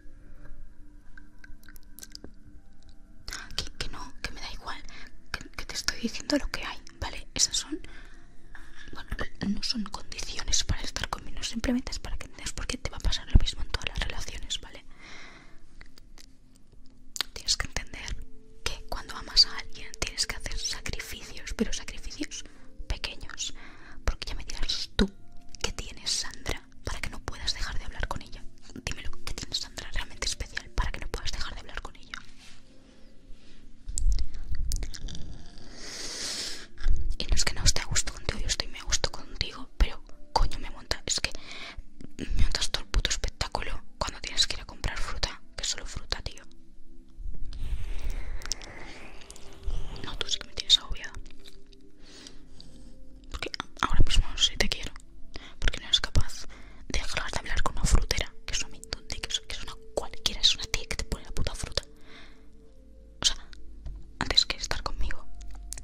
Ah, que, que no, que me da igual. que te estoy diciendo lo que hay. ¿Vale? Esas son. Bueno, no son condiciones para estar conmigo, simplemente es para que entiendas por qué te va a pasar lo mismo en todas las relaciones, ¿vale? Tienes que entender que cuando amas a alguien tienes que hacer sacrificios, pero sacrificios pequeños. Porque ya me dirás tú que tienes Sandra para que no puedas dejar de hablar con ella. Dímelo, que tienes Sandra realmente especial para que no puedas dejar de hablar con ella. Y no es que no esté a gusto contigo, yo estoy me a gusto contigo, pero coño me monta. Es que me montas todo el puto espectáculo cuando tienes que ir a comprar fruta, que es solo fruta, tío. No, tú sí que me tienes agobiada. Porque ahora mismo sí te quiero. Porque no eres capaz de dejar de hablar con una frutera, que es donde que es, una cualquiera, es una tía que te pone la puta fruta. O sea, antes que estar conmigo,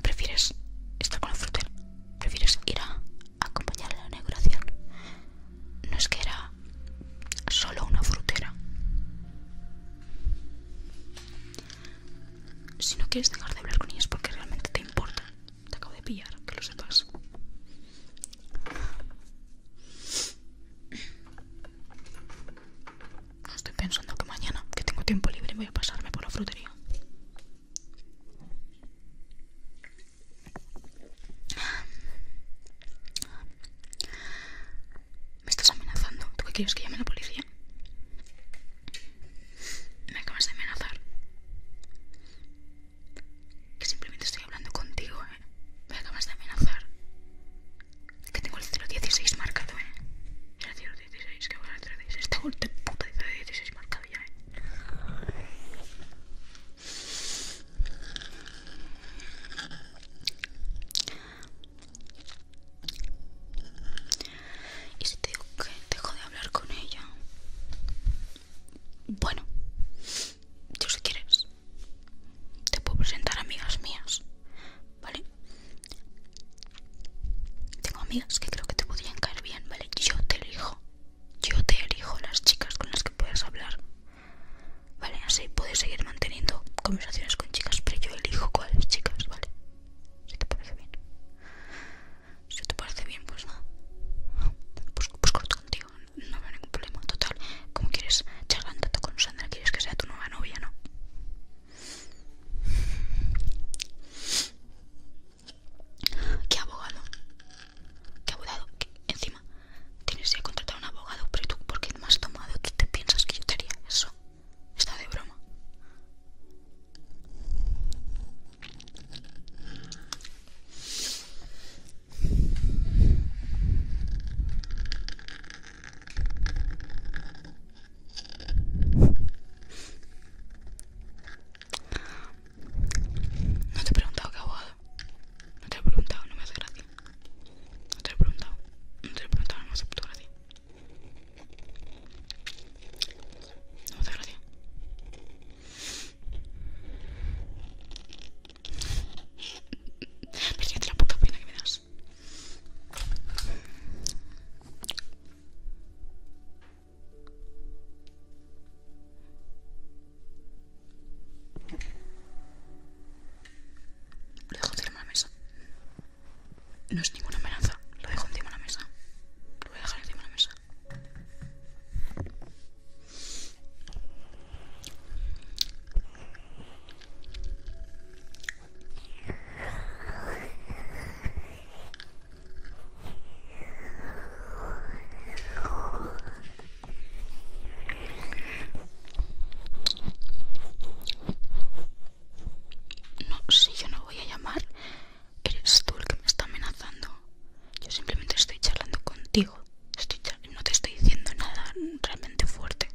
prefieres estar con la frutera? prefieres ir a, acompañar a la inauguración. No es que era solo una frutera. Si no quieres dejar de hablar con ellos porque realmente te importan te acabo de pillar, que lo sepas. Estoy pensando que mañana, que tengo tiempo libre, voy a pasarme por la frutería. Me estás amenazando. ¿Tú qué quieres que llame a la policía? Me acabas de amenazar que simplemente estoy hablando contigo, ¿eh? Me acabas de amenazar. Que tengo el 016 marcado, ¿eh? El 016, que ahora el 016. Tengo el puto 016 marcado ya, ¿eh? Y si te digo que dejo de hablar con ella, bueno, yo si quieres, te puedo presentar amigas mías, ¿vale? Tengo amigas que creo que te podrían caer bien, ¿vale? Yo te elijo, yo te elijo las chicas con las que puedes hablar, ¿vale? Así puedes seguir manteniendo conversaciones con chicas, pero yo elijo cuáles chicas, ¿vale? Si te parece bien. Si te parece bien, pues No. pues corto contigo no veo ningún problema. Total, como quieres ¿Charlando tanto con Sandra, quieres que sea tu nueva novia, ¿no? ¿Qué abogado? ¿Qué abogado? Encima, tienes que contratar a un abogado, pero tú, ¿por qué has tomado? ¿Tú te piensas que yo te haría eso? Está de broma. No te he preguntado qué abogado. No te he preguntado, no me hace gracia. No te he preguntado. No te he preguntado, no me hace puto gracia. No me hace gracia. Porque te la puta pena que me das. Lo dejo encima de la mesa. No es ninguna amenaza. Lo dejo encima de la mesa. Lo voy a dejar encima de la mesa. No, si yo no voy a llamar, eres tú el que me está amenazando. Yo simplemente estoy charlando contigo no te estoy diciendo nada realmente fuerte.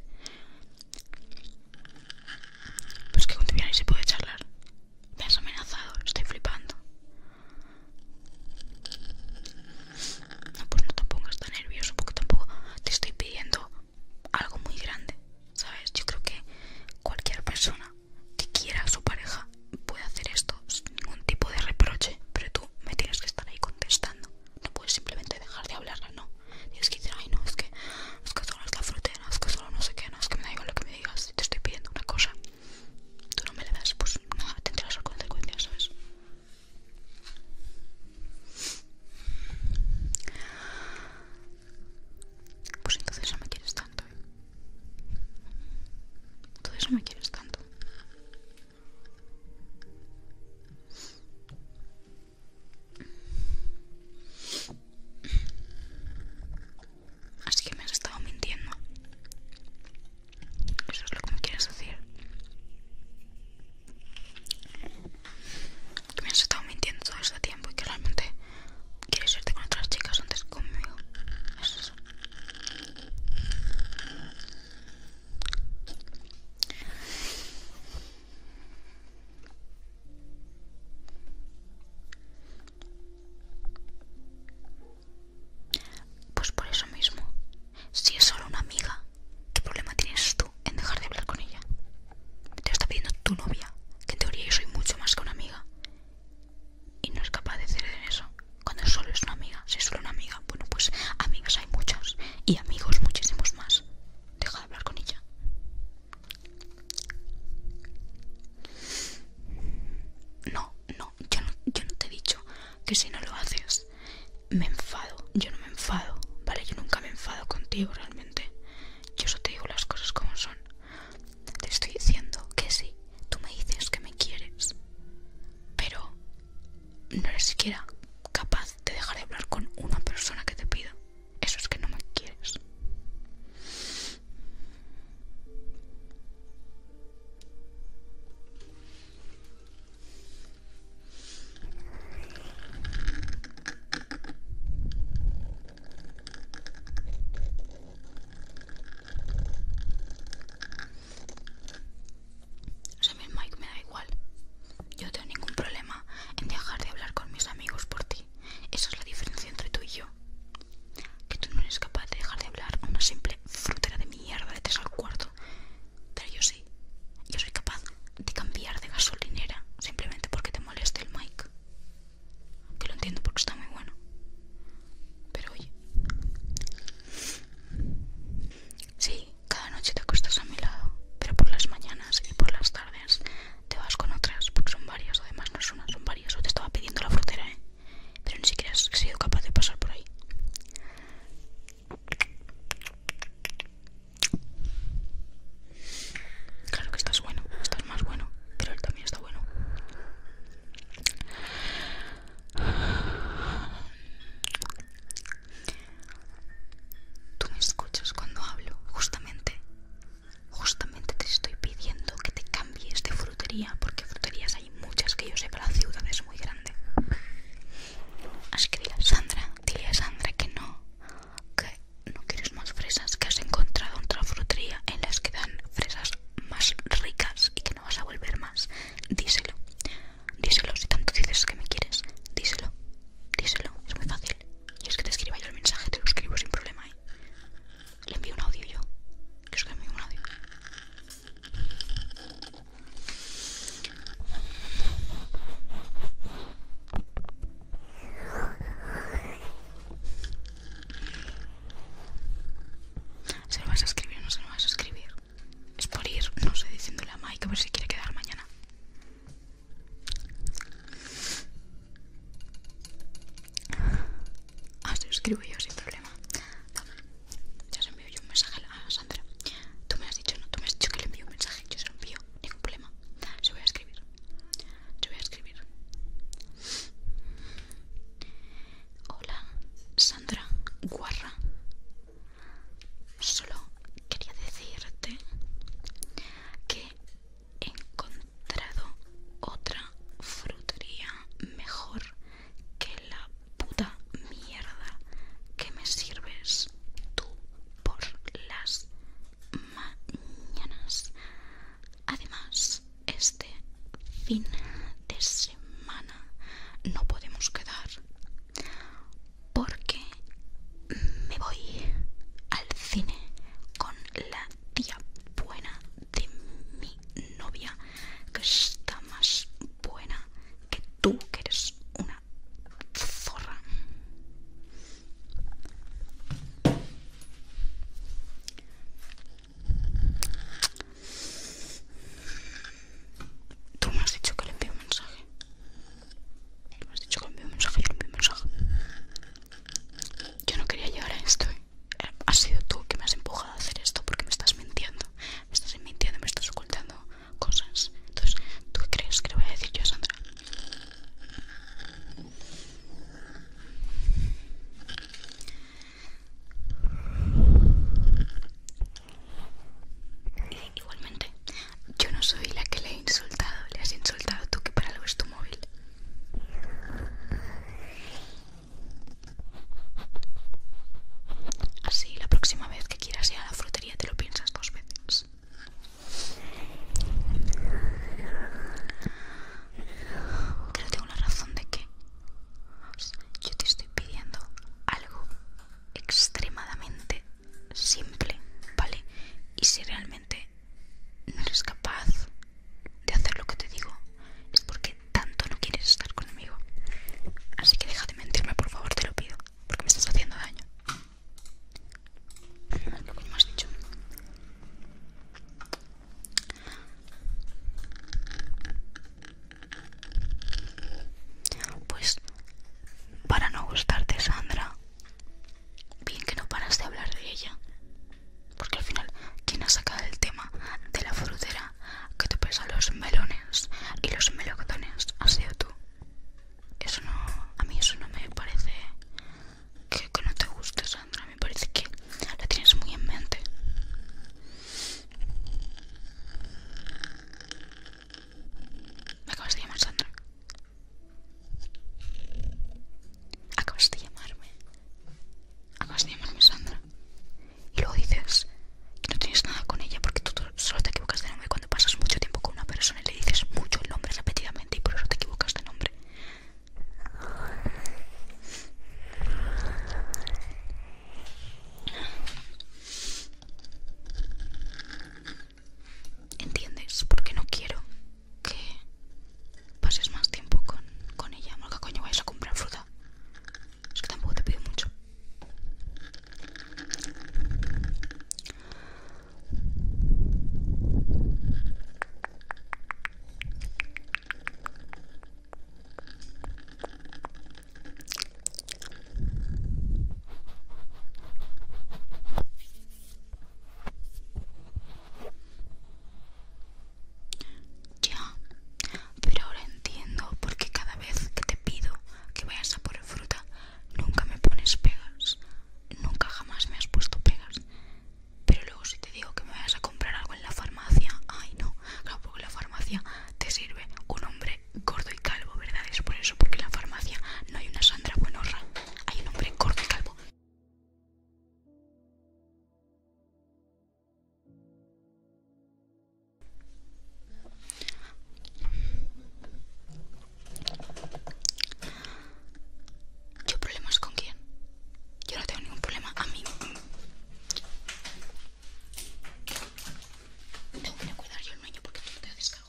Pues que cuando se puede charlar. Me has amenazado, estoy flipando. No, pues no te pongas tan nervioso porque tampoco te estoy pidiendo algo muy grande, ¿sabes? Yo creo que cualquier persona que quiera a su pareja puede hacer esto sin ningún tipo de reproche, pero tú me tienes que estar ahí contestando no puedes simplemente dejar de hablarla, no. Tienes que decir, ay, no, es que, es que solo es la frontera, es que solo no sé qué, no, es que me da igual lo que me digas. Si te estoy pidiendo una cosa, tú no me la das, pues nada, tendrás las consecuencias, ¿sabes? Pues entonces no me quieres tanto, ¿eh? Entonces no me quieres tanto. Así que me has estado mintiendo. Eso es lo que me quieres decir. Que me has estado mintiendo todo este tiempo y que realmente quieres irte con otras chicas antes conmigo. Eso Es pues por eso mismo, si es solo una amiga, ¿qué problema tienes tú en dejar de hablar con ella? Te lo está pidiendo tu novia, que en teoría yo soy mucho más que una amiga. Y no es capaz de hacer eso. Cuando solo es una amiga, si es solo una amiga. Bueno, pues amigas hay muchos y amigos muchísimos más. Deja de hablar con ella. No, no, yo no, yo no te he dicho que si no lo haces me enfado. Yo no me enfado, ¿vale? Yo nunca me enfado contigo realmente. Yo solo te digo las cosas como son. Te estoy diciendo que sí, tú me dices que me quieres, pero no eres siquiera capaz de dejar de hablar con una persona que te pida. Eso es que no me quieres. O sea, el Mike me da igual. Yo no tengo ningún problema en dejar de hablar con mis amigos por ti. Esa es la diferencia entre tú y yo. Que tú no eres capaz de dejar de hablar a una simple frutera de mierda de tres al cuarto. Pero yo sí. Yo soy capaz de cambiar de gasolinera simplemente porque te moleste el mic. Que lo entiendo porque está muy bueno. Pero oye. Sí, cada noche te acuestas a mi lado, pero por las mañanas y por las tardes te vas con otras, porque son varias, además no son una, son varias. O te estaba pidiendo la frutera, ¿eh? Pero ni siquiera has sido capaz de pasar por ahí. Claro que estás bueno, estás más bueno, pero él también está bueno. Tú me escuchas cuando hablo, justamente. Justamente te estoy pidiendo que te cambies de frutería, porque fruterías hay muchas que yo sé, pero la ciudad es muy grande. Así que a Sandra, dile a Sandra que no, que no quieres más fresas, que has encontrado otra frutería en las que dan fresas más ricas y que no vas a volver más. Díselo. Díselo, si tanto dices que me quieres, díselo, díselo, es muy fácil. Y es que te escriba yo el mensaje, te lo escribo sin problema. ¿eh? Le envío un audio yo, que es que envío un audio. Se lo vas a escribir o no se lo vas a escribir. Es por ir, no sé, diciéndole a Mike a ver si quiere quedar mañana. Ah, se lo escribo yo sin problema. Ya se envió yo un mensaje a Sandra. Tú me has dicho, no, tú me has dicho que le envío un mensaje. Yo se lo envío, ningún problema. Se voy a escribir. Se voy a escribir. Hola, Sandra Guarra. Solo quería decirte que he encontrado otra frutería mejor que la puta mierda que me sirves tú por las mañanas. Además, este fin de semana no podemos quedar porque me voy al cine con la tía buena de mi novia que está más buena que tú que eres una zorra Tú me has dicho que le envío un mensaje has dicho mensaje, yo no quería llegar a esto. ¿eh? Has sido tú que me has empujado a hacer esto porque me estás mintiendo. Me estás mintiendo, me estás ocultando cosas. Entonces, ¿tú crees que le voy a decir yo Sandra? Igualmente, yo no soy la que le he insultado, le has insultado tú que para algo es tu móvil. Así la próxima vez que quieras ir a la frutería te lo piensas dos veces. Creo tengo la razón de que yo te estoy pidiendo algo extremadamente simple, ¿vale? Y si realmente no eres capaz de hacer lo que te digo, es porque tanto no quieres estar conmigo. Así que deja de mentirme, por favor, te lo pido, porque me estás haciendo daño. Lo que me dicho. Pues para no gustarte, Sandra, Bien que no paras de hablar de ella. Porque al final, Quien ha sacado el tema de la frutera que te pesa los melones y los melocotones? ha sido tú? Eso no. A mí eso no me parece que, que no te guste, Sandra. Me parece que la tienes muy en mente. Me acabas de llamar, Sandra. Acabas de llamarme. Acabas de llamarme, Sandra. Y luego dices que no tienes nada con ella porque tú solo te equivocas de nombre cuando pasas mucho tiempo con una persona y le dices mucho el nombre repetidamente y por eso te equivocas de nombre. ¿Entiendes? Porque no quiero que pases más tiempo con, con ella. ¿Por coño vais a comprar fruta? Es que tampoco te pido mucho. Ya, pero ahora entiendo por qué cada vez que te pido que vayas a por fruta nunca me pones pegas. Nunca jamás me has puesto pegas. Pero luego si te digo que me vayas a comprar algo en la farmacia, ay no, claro, porque la farmacia te sirve un hombre gordo y calvo, ¿verdad? Es por porque en la farmacia no hay una Sandra Buenorra, hay un hombre corto y calvo. ¿Yo problemas con quién? Yo no tengo ningún problema a mí. Mm, tengo que cuidar yo el niño porque tú no te descansas.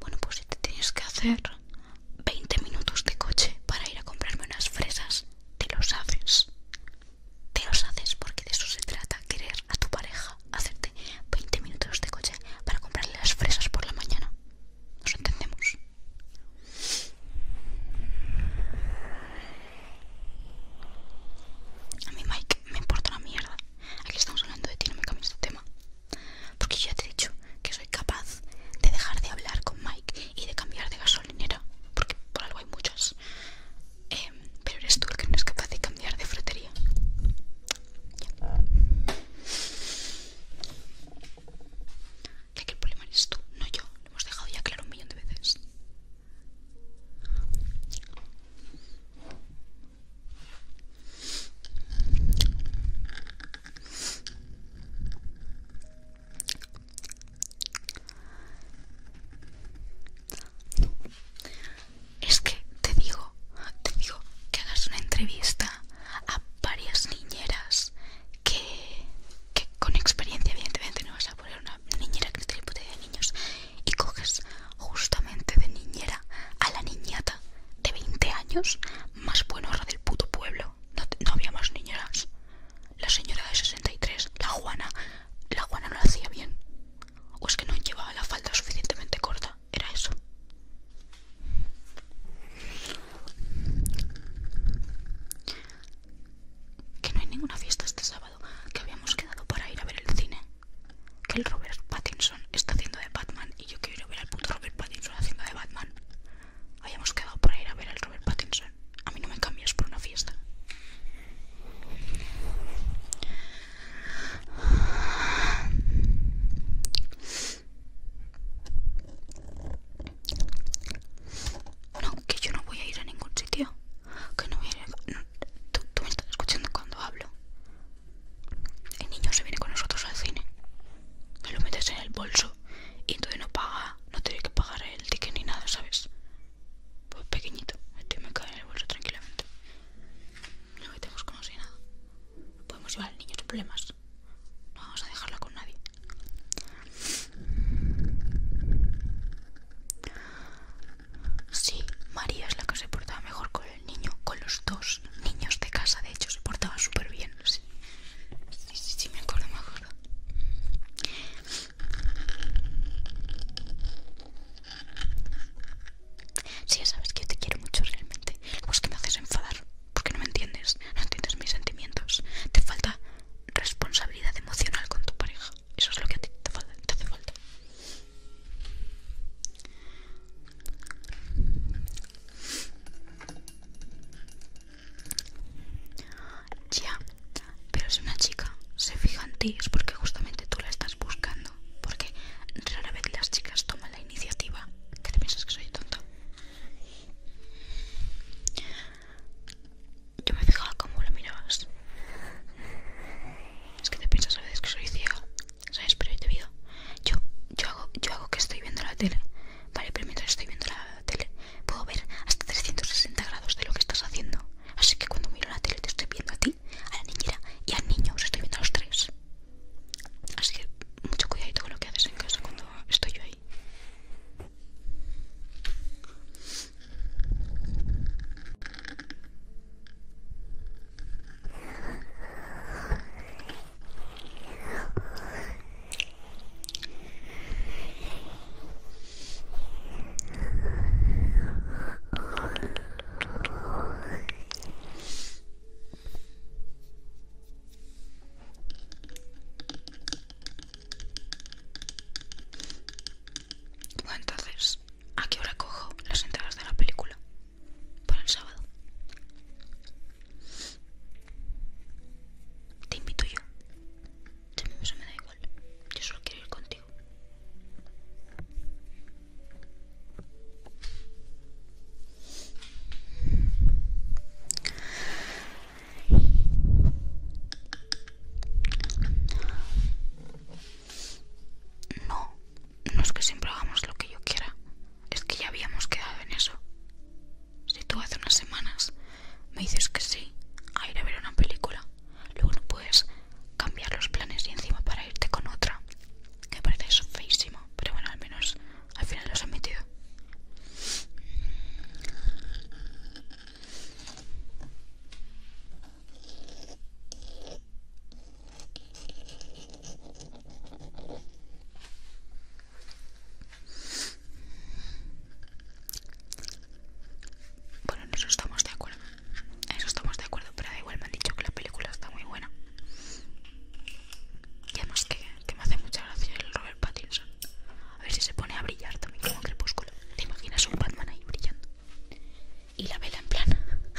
Bueno, pues si te tienes que hacer 20 minutos de coche para ir a comprarme unas fresas, te los haces. Te los haces porque de eso se trata, querer a tu pareja, hacerte 20 minutos de coche para comprarle las fresas por la mañana. Nos entendemos. A mí Mike me importa una mierda. Aquí estamos hablando de ti, no me cambies tu tema. Porque ya te he dicho que soy capaz de dejar de hablar con Mike y de cambiar de gasolinera, porque por algo hay muchas. Em, pero eres tú el que no es capaz de cambiar de frutería. que el problema eres tú, no yo. Lo hemos dejado ya claro un millón de veces. Es que te digo, te digo que hagas una entrevista a varias niñeras que, con experiencia evidentemente no vas a poner una niñera que tiene puta de niños y coges justamente de niñera a la niñata de 20 años más buena hora del puto pueblo no, había más niñeras. La señora de 63, la Juana, la Juana no la hacía bien. O es que no llevaba la falda suficientemente corta, era eso. Que no hay ninguna fiesta este sábado, que habíamos quedado para ir a ver el cine. Que el Robert Pattinson está haciendo de Batman y yo quiero ver al puto Robert Pattinson haciendo de Batman. Habíamos quedado para ir a ver al Robert Pattinson. A mí no me cambias por una fiesta. Bueno, que yo no voy a ir a ningún sitio. Que no voy a ir a... tú, me estás escuchando cuando hablo. El niño se viene con nosotros al cine. Me lo metes en el bolso y entonces no paga, no tiene que pagar el ticket ni nada, ¿sabes? Pues pequeñito, este me cae en el bolso tranquilamente. No metemos como si nada. Podemos llevar al niño sin problemas. No vamos a dejarla con nadie. Sí, María es la que se portaba mejor con el niño, con los dos niños de casa, de hecho, se portaba súper bien, sí. Sí, me acuerdo, me Sí, ya sabes que te quiero mucho realmente. Pues que me haces enfadar, porque no me entiendes, no entiendes mis sentimientos. Te falta responsabilidad emocional con tu pareja. Eso es lo que a ti te hace falta. Ya, pero si una chica se fija en ti es porque justamente tú la estás buscando. Porque rara vez las chicas toman la iniciativa. ¿Qué te piensas que soy tonto? Yo me fijaba cómo lo mirabas. Es que te piensas a veces que soy ciego. ¿Sabes? Pero yo te veo. Yo, hago, yo hago que estoy viendo la tele. Vale, pero mientras estoy viendo la tele puedo ver hasta 360 grados de lo que estás haciendo. Así que cuando miro la tele te estoy viendo a ti, a la niñera y al niño, os estoy viendo a los tres. Así que mucho cuidadito con lo que haces en casa cuando estoy yo ahí. Bueno, entonces, ¿a qué hora cojo las entradas de la película? Para el sábado. Te invito yo. me da igual. Yo solo quiero ir contigo. No, no es que siempre hagamos lo que yo quiera. Es que ya habíamos quedado en eso. Si tú hace unas semanas me dices que sí a ir a ver una película, luego no puedes cambiar los planes y encima para irte con otra. Que parece feísimo, pero bueno, al menos al final los han metido. Bueno, en eso estamos de acuerdo. En eso estamos de acuerdo, pero da igual me han dicho que la película está muy buena. Y además que, me hace mucha gracia el Robert Pattinson. A ver si se pone a brillar también como crepúsculo. ¿Te imaginas un Batman ahí brillando? Y la vela en plan...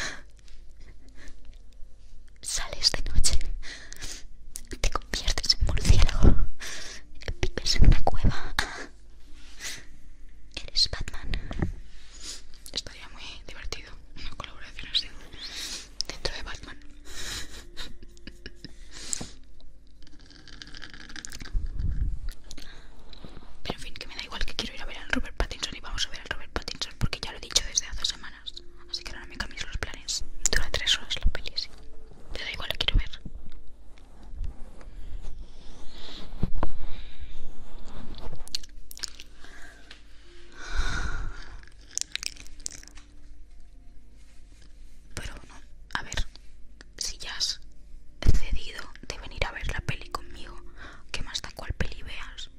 Sales de noche te conviertes en murciélago. Vives en una cueva. Eres Batman. Estaría muy divertido una colaboración así dentro de Batman. Pero en fin, que me da igual que quiero ir a ver al Robert Pattinson y vamos a ver al Robert Pattinson porque ya lo he dicho desde hace semanas. Así que ahora me cambies los planes. Dura tres horas la peli, sí. Te da igual, la quiero ver. Pero bueno, a ver, si ya has cedido de venir a ver la peli conmigo, que más da cuál peli veas.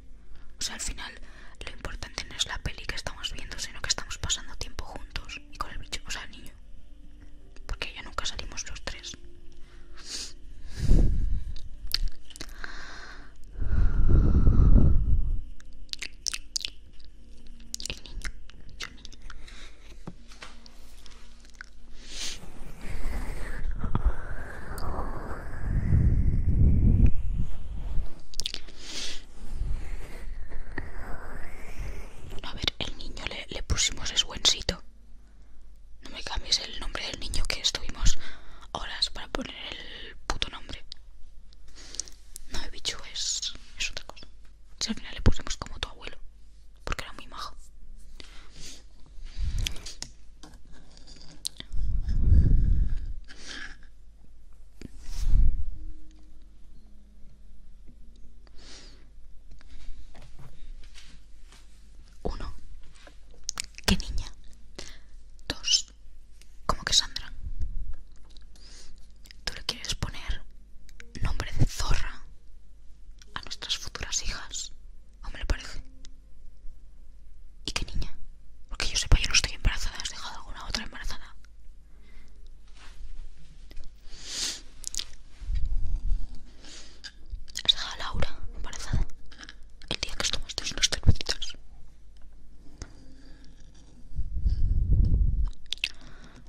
O sea, al final lo importante no es la peli que estamos viendo, sino que estamos pasando tiempo juntos y con el bicho, o sea, el niño. Porque ya nunca salimos los tres. niño a ver, el niño le, pusimos es buencito. No me cambies el nombre del niño que estuvimos horas para poner el puto nombre. No, el bicho es, es otra cosa. Si al final le pusimos como tu abuelo, porque era muy majo. Uno. ¿Qué niña? Dos. ¿como que Sandra? ¿Tú le quieres poner nombre de zorra a nuestras futuras hijas? ¿O me lo parece? ¿Y qué niña? Porque yo sepa, yo no estoy embarazada. ¿Has dejado alguna otra embarazada? Has Laura embarazada el día que os tomasteis unas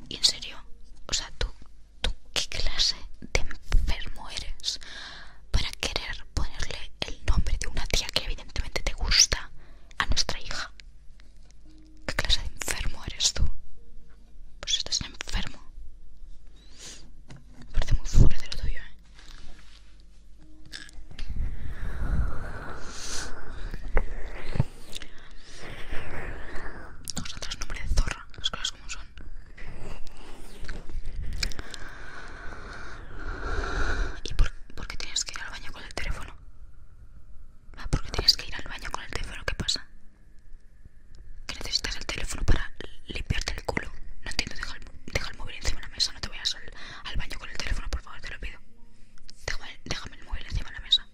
Y en serio, o sea, tú, tú, ¿qué clase de enfermo eres para querer ponerle el nombre de una tía que evidentemente te gusta a nuestra hija? ¿Qué clase de enfermo eres tú? Pues estás enfermo. parece muy fuerte de lo tuyo, ¿eh? Nosotros nombre de zorra, las cosas como son. ¿Y por qué tienes que ir al baño con el teléfono? Ah, ¿Por qué tienes que ir al baño con el teléfono, ¿qué pasa? Que necesitas el teléfono para limpiarte el culo. No entiendo, deja el, móvil encima de la mesa, no te vayas al, al baño con el teléfono, por favor, te lo pido. Déjame, el móvil encima de la mesa.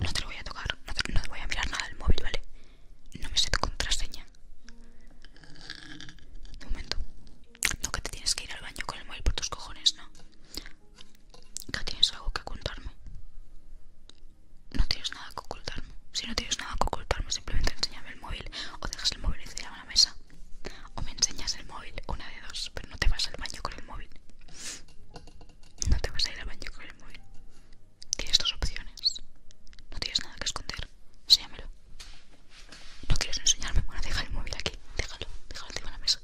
No te lo voy a tocar, no te, voy a mirar nada el móvil, ¿vale? No me sé tu contraseña. Un momento. No, que te tienes que ir al baño con el móvil por tus cojones, ¿no? ¿Ya tienes algo que ocultarme? No tienes nada que ocultarme. Si no tienes nada que ocultarme, simplemente enséñame el móvil o dejas el móvil encima de la mesa. O me enseñas el móvil, una de dos, pero no te vas al baño con el móvil. No te vas a ir al baño con el móvil. Tienes dos opciones. No tienes nada que esconder. Enséñamelo. No quieres enseñarme. Bueno, deja el móvil aquí. Déjalo. Déjalo encima de la mesa.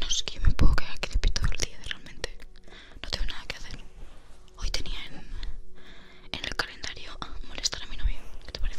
No sé, qué me puedo quedar aquí de pito todo el día, realmente. No tengo nada que hacer. Hoy tenía en, el calendario a ah, molestar a mi novio. ¿Qué te parece?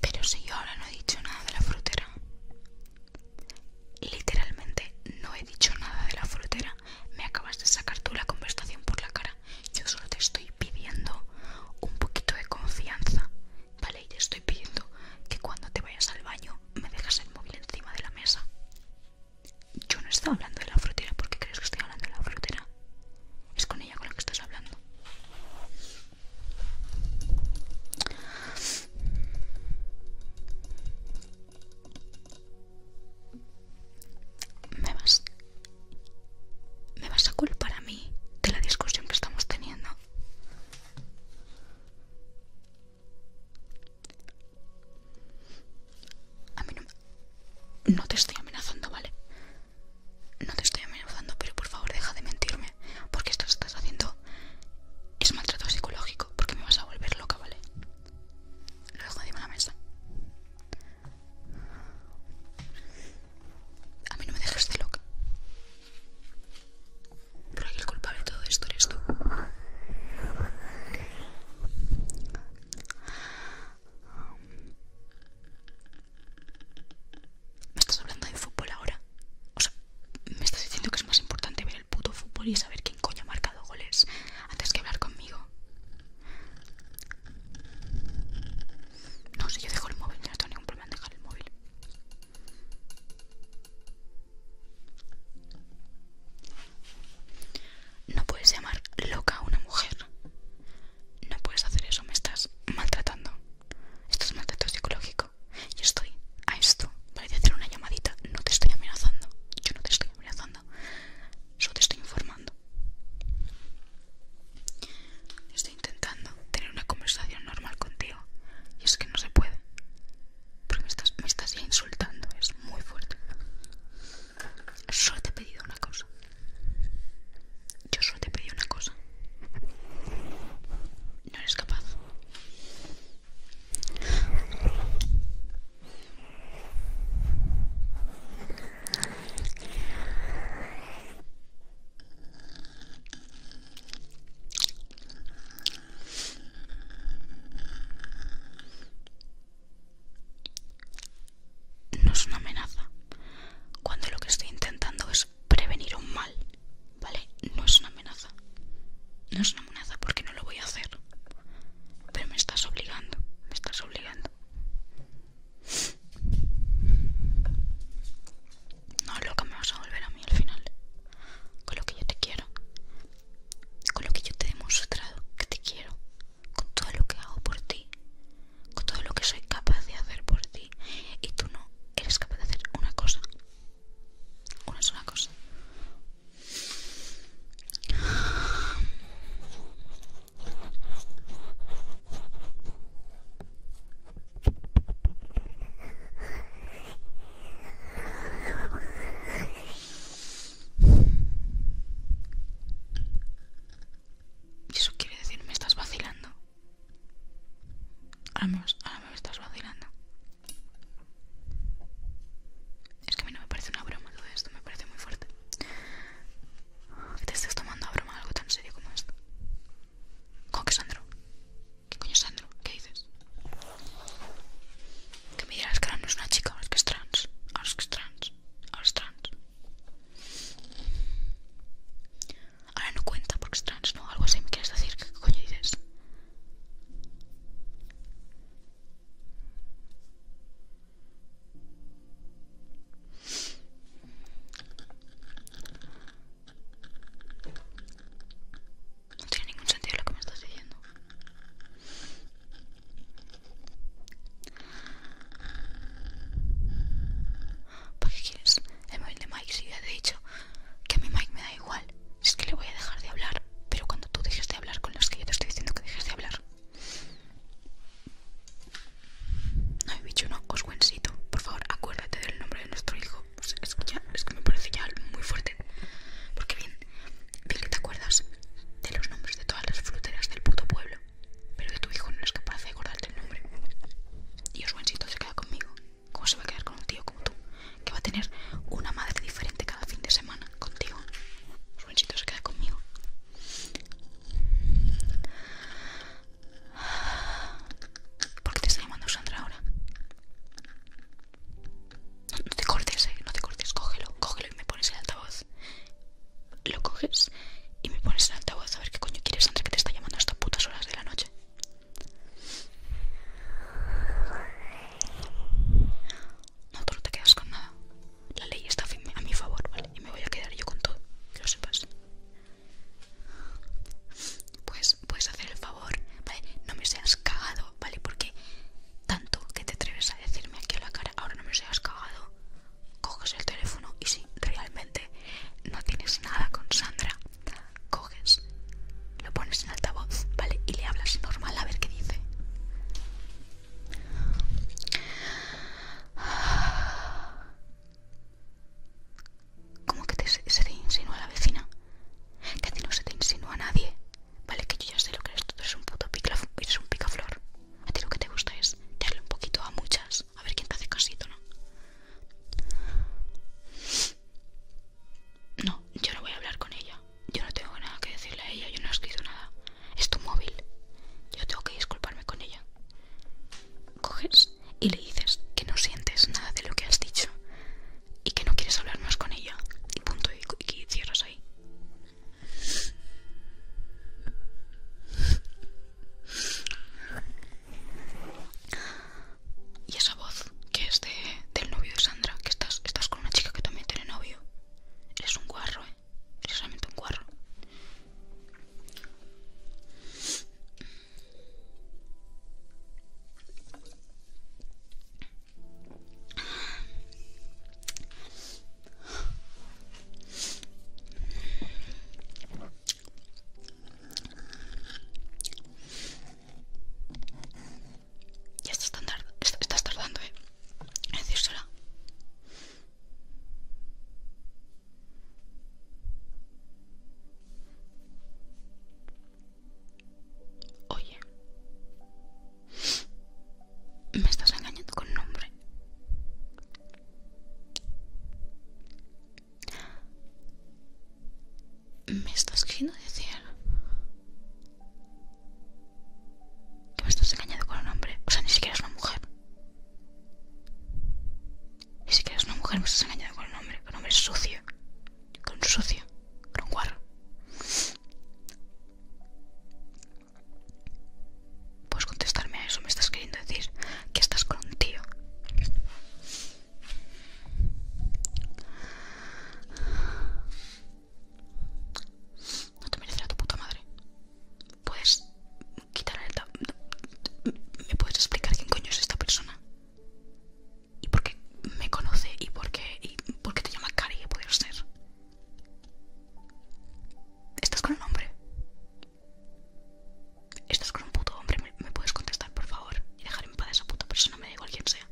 Pero si yo ahora no he dicho nada de la frutera. Literalmente no he dicho nada de la frutera. Me acabas de sacar tú la conversación por la cara. Yo solo te estoy pidiendo un poquito de confianza. Vale, y te estoy pidiendo que cuando te vayas al baño me dejes el móvil encima de la mesa. Yo no estaba hablando de la frutera. ¿Por qué crees que estoy hablando de la frutera? Es con ella con la que estás hablando. Me vas. Me vas a culpar a mí de la discusión que estamos teniendo. A mí no... No te estoy amenazando, ¿vale? No te estoy amenazando, pero por favor deja de mentirme. Porque esto que estás haciendo es maltrato psicológico. Porque me vas a volver loca, ¿vale? Lo dejo encima de la mesa. A mí no me dejes de loca. Pero el culpable de todo esto eres tú. ¿Me estás hablando de fútbol ahora? O sea, me estás diciendo que es más importante ver el puto fútbol y saber quién coño ha marcado goles antes que hablar conmigo. No, si yo dejo el móvil, no tengo ningún problema en dejar el móvil. No puedes llamar loca a una mujer. No puedes hacer eso, me estás maltratando. Esto es maltrato psicológico. Y estoy a esto para hacer una llamadita. No te estoy amenazando. Yo no te estoy amenazando. Solo te estoy informando. Estoy intentando tener una conversación normal contigo. Y es que no se puede. Porque me estás, me estás insultando. Es muy fuerte. Solo te he pedido una cosa. Yo solo te he pedido una cosa. No eres capaz no es una amenaza cuando lo que estoy intentando es prevenir un mal, ¿vale? No es una amenaza. No es una amenaza porque no lo voy a hacer. Pero me estás obligando, me estás obligando. No, lo que me vas a volver a mí al final. Con lo que yo te quiero. Con lo que yo te he demostrado que te quiero con todo lo que hago por ti, con todo lo que soy capaz de hacer por ti, y tú no eres capaz de hacer una cosa, una sola cosa. Y eso quiere decir, me estás vacilando. Ahora me, ahora me estás vacilando. Es que a mí no me parece una broma todo esto, me parece muy fuerte. Que te estés tomando a broma algo tan serio como esto. ¿Cómo que Sandro? ¿Qué coño Sandro? ¿Qué dices? Que me digas que ahora no es una chica, ahora es que es trans. Ahora es que es trans. Ahora es trans. Ahora no cuenta porque es trans, ¿no? Algo así me quieres decir. ¿Qué coño dices? No tiene ningún sentido lo que me estás diciendo. ¿Para qué quieres el móvil de Mike? Si ya te he dicho que a mi Mike me da igual. Es que le voy a dejar de hablar. Pero cuando tú dejes de hablar con los que yo te estoy diciendo que dejes de hablar. No he dicho no, Oswensito, Por favor, acuérdate del nombre de nuestro hijo. es, pues, que es que me parece ya muy fuerte. Porque bien, bien que te acuerdas de los nombres de todas las fruteras del puto pueblo. Pero de tu hijo no es capaz de acordarte el nombre. Dios buencito se queda conmigo. ¿Cómo se va a quedar con un tío como tú? Que va a tener una madre diferente cada fin de semana contigo. Juancito se queda conmigo. ¿Por qué te está llamando Sandra ahora? no te cortes, eh, no te cortes, cógelo, cógelo y me pones el altavoz. Lo coges y me pones en altavoz A ver qué coño quieres Sandra que te está llamando a estas putas horas de la noche No, tú no te quedas con nada La ley está a mi favor, ¿vale? Y me voy a quedar yo con todo Que lo sepas pues puedes hacer el favor, ¿vale? No me seas cagado, ¿vale? Porque tanto que te atreves a decirme aquí a la cara, ahora no me seas cagado, coges el teléfono y si realmente no tienes nada con Sandra, coges, lo pones en altavoz, ¿vale? Y le hablas normal a ver qué dice. ¿Cómo que te, se te insinúa la vecina? Que a ti no se te insinúa a nadie, ¿vale? Que yo ya sé lo que eres, tú eres un puto picaflor, eres un picaflor. A ti lo que te gusta es darle un poquito a muchas, a ver quién te hace casito, ¿no? No, yo no voy a hablar con ella. Yo no tengo nada que decirle a ella, yo no he escrito nada. Es tu móvil. Yo tengo que disculparme con ella. Coges y le dices que no sientes nada de lo que has dicho y que no quieres hablar más con ella. Y punto, y, que cierras ahí. Y esa voz que es de, del novio de Sandra, que estás, estás con una chica que también tiene novio. Eres un guarro, ¿eh? Eres realmente un guarro. Ya está tan estás tardando, ¿eh? En decírsela. Oye, me estás engañando con nombre. ¿Me estás queriendo decir que me estás engañando con un hombre? O sea, ni siquiera es una mujer. Ni siquiera es una mujer, me estás engañando con un hombre. Con un hombre sucio. Con un sucio. Con un guarro. Puedes contestarme a eso, me estás queriendo decir que estás con un tío. No te merecerá tu puta madre. Puedes quitar el tab ¿Me puedes explicar quién coño es esta persona? ¿Y por qué me conoce? ¿Y por qué, por qué te llama Cari? ¿Qué poder ser? ¿Estás con un hombre? Estás con un puto hombre, ¿me, puedes contestar por favor? Y dejar en paz a esa puta persona, me da igual quien sea.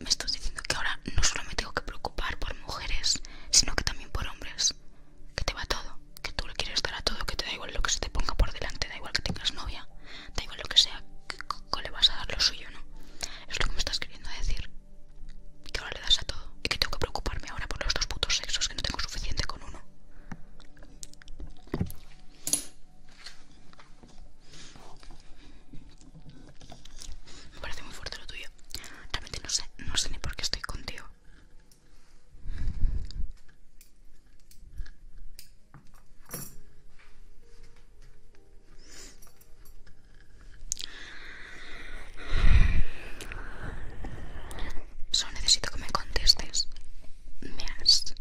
Me estás diciendo que ahora no solo me tengo que preocupar por mujeres, sino que también por hombres. Que te va todo, que tú le quieres dar a todo, que te da igual lo que se te ponga por delante, da igual que tengas novia, da igual lo que sea, que, le vas a dar lo suyo, ¿no? Es lo que me estás queriendo decir. Que ahora le das a todo y que tengo que preocuparme ahora por los dos putos sexos, que no tengo suficiente con uno. Me parece muy fuerte lo tuyo. Realmente no sé, no sé ni por qué estoy contigo. Solo necesito que me contestes. Me has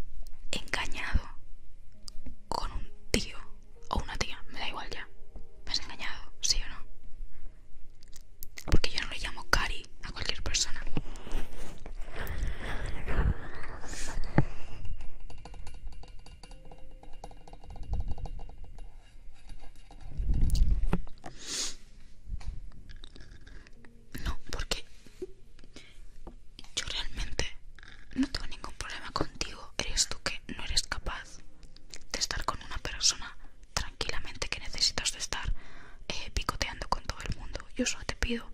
engañado con un tío o una tía, me da igual ya. ¿Me has engañado? ¿Sí o no? Porque yo no le llamo Cari a cualquier persona. No, ¿por qué? yo realmente no tengo ningún problema contigo. Eres tú que no eres capaz de estar con una persona tranquilamente que necesitas de estar eh, picoteando con todo el mundo. Yo solo te pido,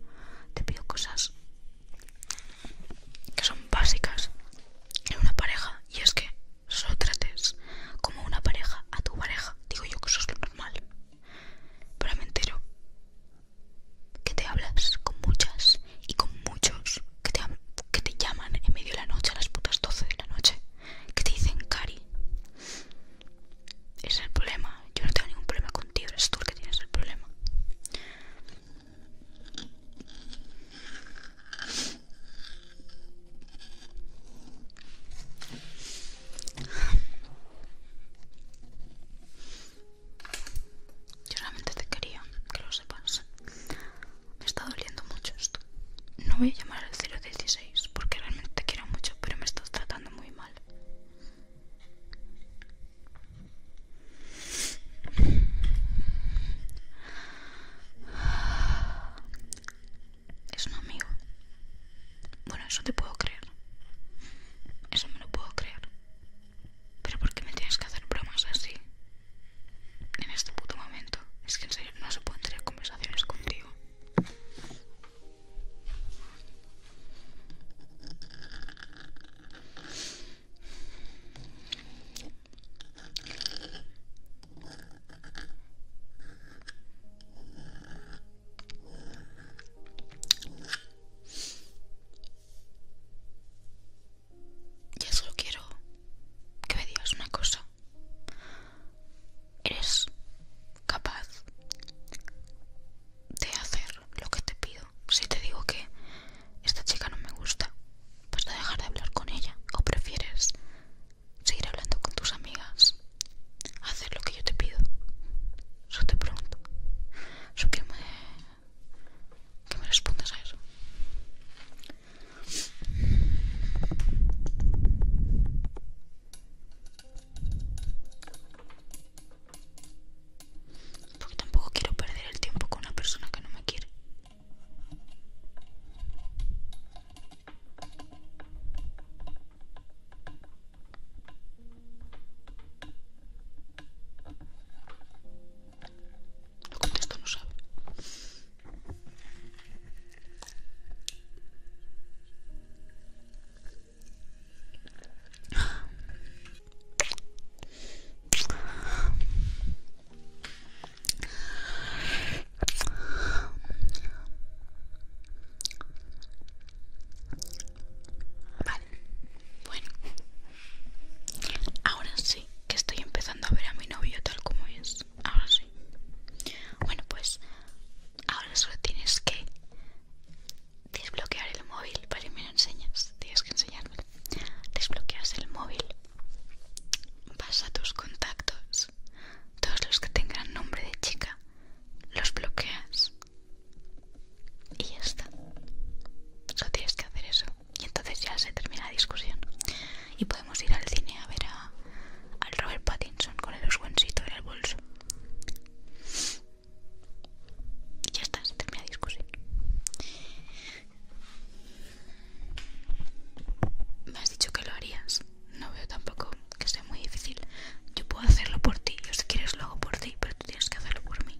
te pido cosas que son básicas en una pareja y es que solo trates como una pareja a tu pareja. Digo yo que eso es lo normal. Pero me entero que te hablas con muchas y con muchos que te, que te llaman en medio de la noche a las putas 12 de la noche que te dicen cari es el problema yo no tengo ningún problema contigo eres tú el que tienes el problema yo realmente te quería, que lo sepas. Me está doliendo mucho esto. No voy a llamar al 016 porque realmente te quiero mucho, pero me estás tratando muy mal. Es un amigo. Bueno, eso te puedo creer. Eso me lo puedo creer. Pero ¿por qué me tienes que hacer bromas así? En este puto momento. Es que en serio no se pueden tener conversaciones contigo ya solo quiero que me digas una cosa. Eres capaz de hacer lo que te pido. Si te digo que esta chica no me gusta, ¿vas a dejar de hablar con ella? ¿O prefieres seguir hablando con tus amigas? Hacer lo que yo te pido. Eso te pregunto. que me que me respondas a eso. Porque tampoco quiero perder el tiempo con una persona que no me quiere. Lo contesto, no sabe. Bueno, ahora sí que estoy empezando a ver a mi novio tal como es. Ahora sí. Bueno, pues ahora solo tienes que desbloquear el móvil. Vale, me lo enseñas. Tienes que enseñarme. Desbloqueas el móvil. Vas a tus contactos. Todos los que tengan nombre de chica, los bloqueas. Y ya está. Solo tienes que hacer eso y entonces ya se termina la discusión y podemos ir al cine a ver a, al Robert Pattinson con el oscuencito en el bolso y ya está, se termina la discusión me has dicho que lo harías no veo tampoco que sea muy difícil yo puedo hacerlo por ti, yo si quieres lo hago por ti pero tú tienes que hacerlo por mí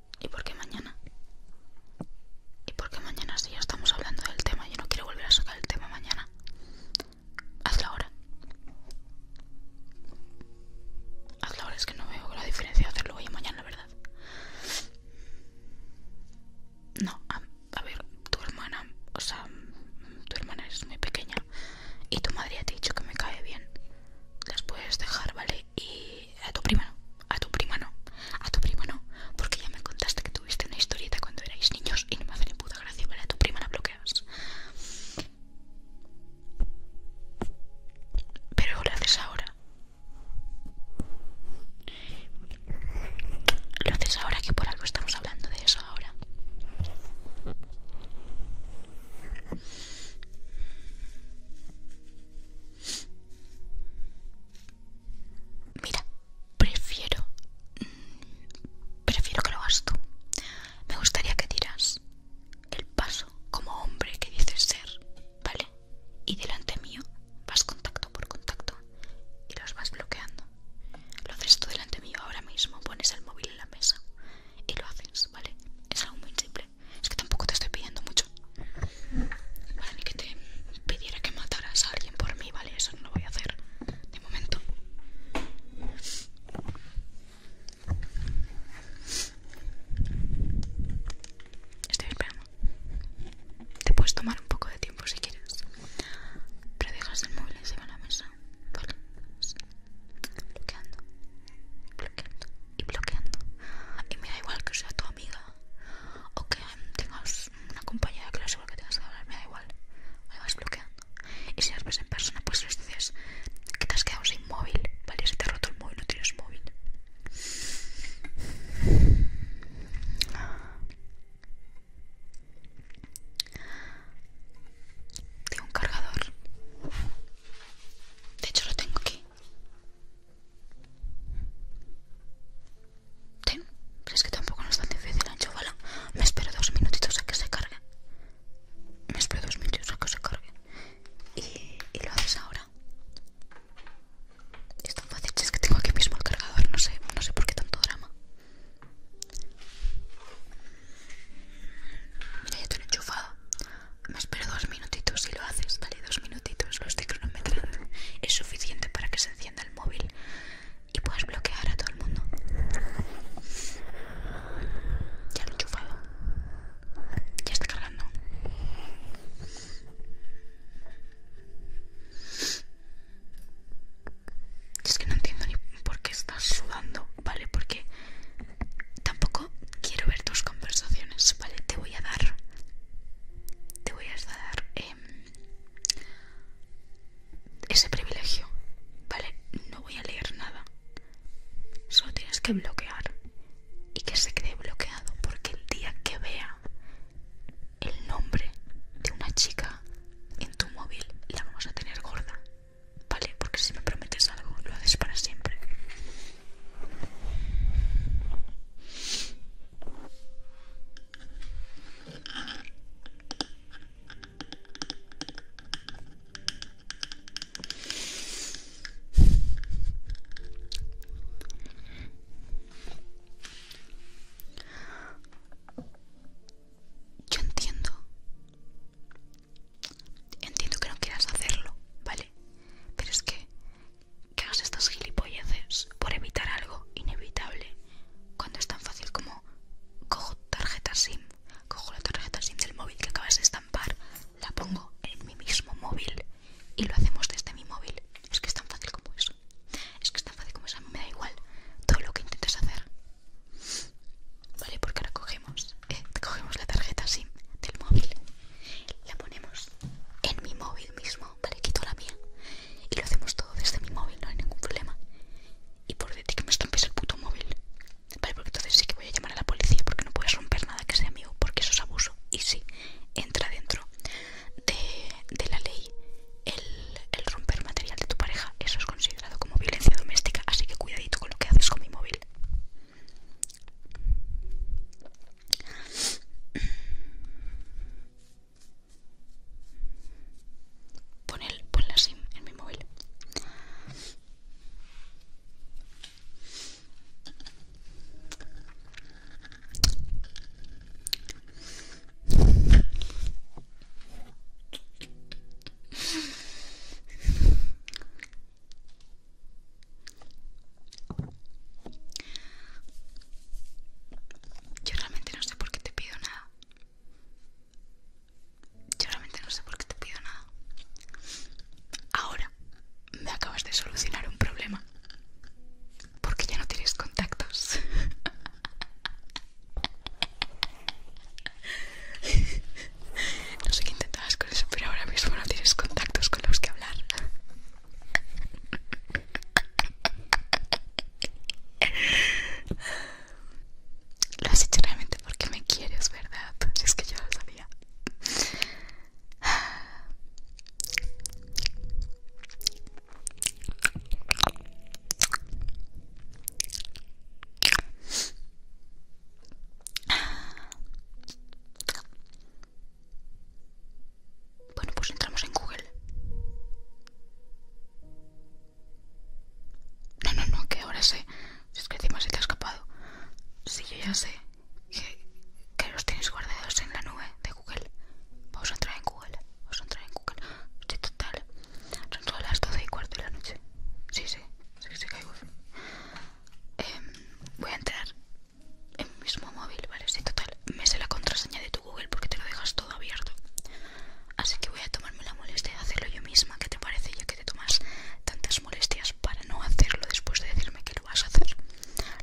¿Y por qué mañana? ¿Y por qué mañana si ya estamos hablando del tema? Yo no quiero volver a sacar el tema mañana. Hazlo ahora. Hazlo ahora, es que no veo la diferencia de hacerlo hoy y mañana, la verdad. No, a, ver, tu hermana, o sea, tu hermana es muy pequeña y tu madre ha dicho que me cae bien. Las puedes dejar, ¿vale? Y a tu prima no, a tu prima no, a tu prima no, porque ya me contaste que tuviste una historieta cuando erais niños y no me hace ni puta gracia, ¿vale? A tu prima la bloqueas. Pero lo haces ahora. Lo haces ahora que por algo estamos hablando de eso ahora. Mira, prefiero. Mm, prefiero que lo hagas tú. Me gustaría que tiras el paso como hombre que dices ser, ¿vale? Y delante mío vas contacto por contacto y los vas bloqueando. Lo haces tú delante mío ahora mismo, pones el móvil en la mesa y lo haces, ¿vale? Es algo muy simple. Es que tampoco te estoy pidiendo mucho. Vale, ni que te pidiera que mataras a alguien por mí, vale, eso no lo voy a hacer de momento. Estoy esperando. Te puedes tomar un poco de tiempo si quieres. Pero dejas el móvil encima de la mesa. Vale. Bloqueando. Bloqueando. Y bloqueando. Y me da igual que sea tu o que tengas una compañera que clase haga igual que tengas que hablar, me da igual, me vas bloqueando. Y si las ves en persona, pues les dices que te has quedado sin móvil, ¿vale? Si te ha roto el móvil, no tienes móvil. Tengo un cargador. De hecho, lo tengo aquí. Ten, es que tampoco no es tan difícil enchufarla. Me espero dos minutitos a que se cargue. Me espero dos minutitos a que se cargue. Y, lo haces ahora. Es tan fácil, es que tengo aquí mismo el cargador, no sé, no sé por qué tanto drama. Mira, ya te enchufado. Me espero dos minutitos y lo haces, vale, dos minutitos, lo estoy cronometrando. Es suficiente para que se haciendo el móvil y puedes bloquear a todo el mundo. Ya lo he enchufado. Ya está cargando. Es que no entiendo ni por qué estás sudando, ¿vale? Porque tampoco quiero ver tus conversaciones, ¿vale? Te voy a dar. Te voy a dar. Em, ese privilegio, ¿vale? No voy a leer nada. Solo tienes que bloquear y que se quede bloqueado porque el día que vea el nombre de una chica en tu móvil la vamos a tener gorda, ¿vale? Porque si me prometes algo lo haces para siempre. Yo entiendo. Entiendo que no quieras hacerlo, ¿vale? Pero es que que hagas estas gilipolleces por evitar algo inevitable cuando es tan fácil como cojo tarjeta SIM, cojo la tarjeta SIM del móvil que acabas de estampar, la pongo en mi mismo móvil y lo hacemos desde mi móvil. Es que es tan fácil como eso. Es que es tan fácil como eso. me da igual todo lo que intentes hacer. Vale, porque ahora cogemos, eh, cogemos la tarjeta SIM del móvil, la ponemos en mi móvil mismo vale, quito la mía y lo hacemos todo desde mi móvil, no hay ningún problema. Y por de que me estrompes el puto móvil, vale, porque entonces sí que voy a llamar a la policía porque no puedes romper nada que sea mío, porque eso es abuso. Y sí, entra dentro de, la ley el romper material de tu pareja, eso es considerado como violencia doméstica, así que cuidadito con lo que haces con mi móvil. Pon el, pon la SIM en mi móvil. Yo realmente no sé por qué te pido nada. Yo realmente no sé por qué te pido nada. Ahora me acabas de solucionar un problema. Porque ya no tienes contactos. No sé qué intentabas con eso, pero ahora mismo no tienes contactos con los que hablar. Lo has hecho realmente porque me quieres, ¿verdad? Es que yo lo sabía. Bueno, pues entramos en Google. No, no, no, que ahora sé. Es que encima se te ha escapado. Sí, yo ya sé que, los tienes guardados en la nube de Google. Vamos a entrar en Google. Vamos a entrar en Google. Estoy total. Son todas las 12 y cuarto de la noche. Sí, sí. Sí, sí, caigo. Em, voy a entrar mismo móvil, vale, sí, total. Me sé la contraseña de tu Google porque te lo dejas todo abierto. Así que voy a tomarme la molestia de hacerlo yo misma. ¿Qué te parece ya que te tomas tantas molestias para no hacerlo después de decirme que lo vas a hacer?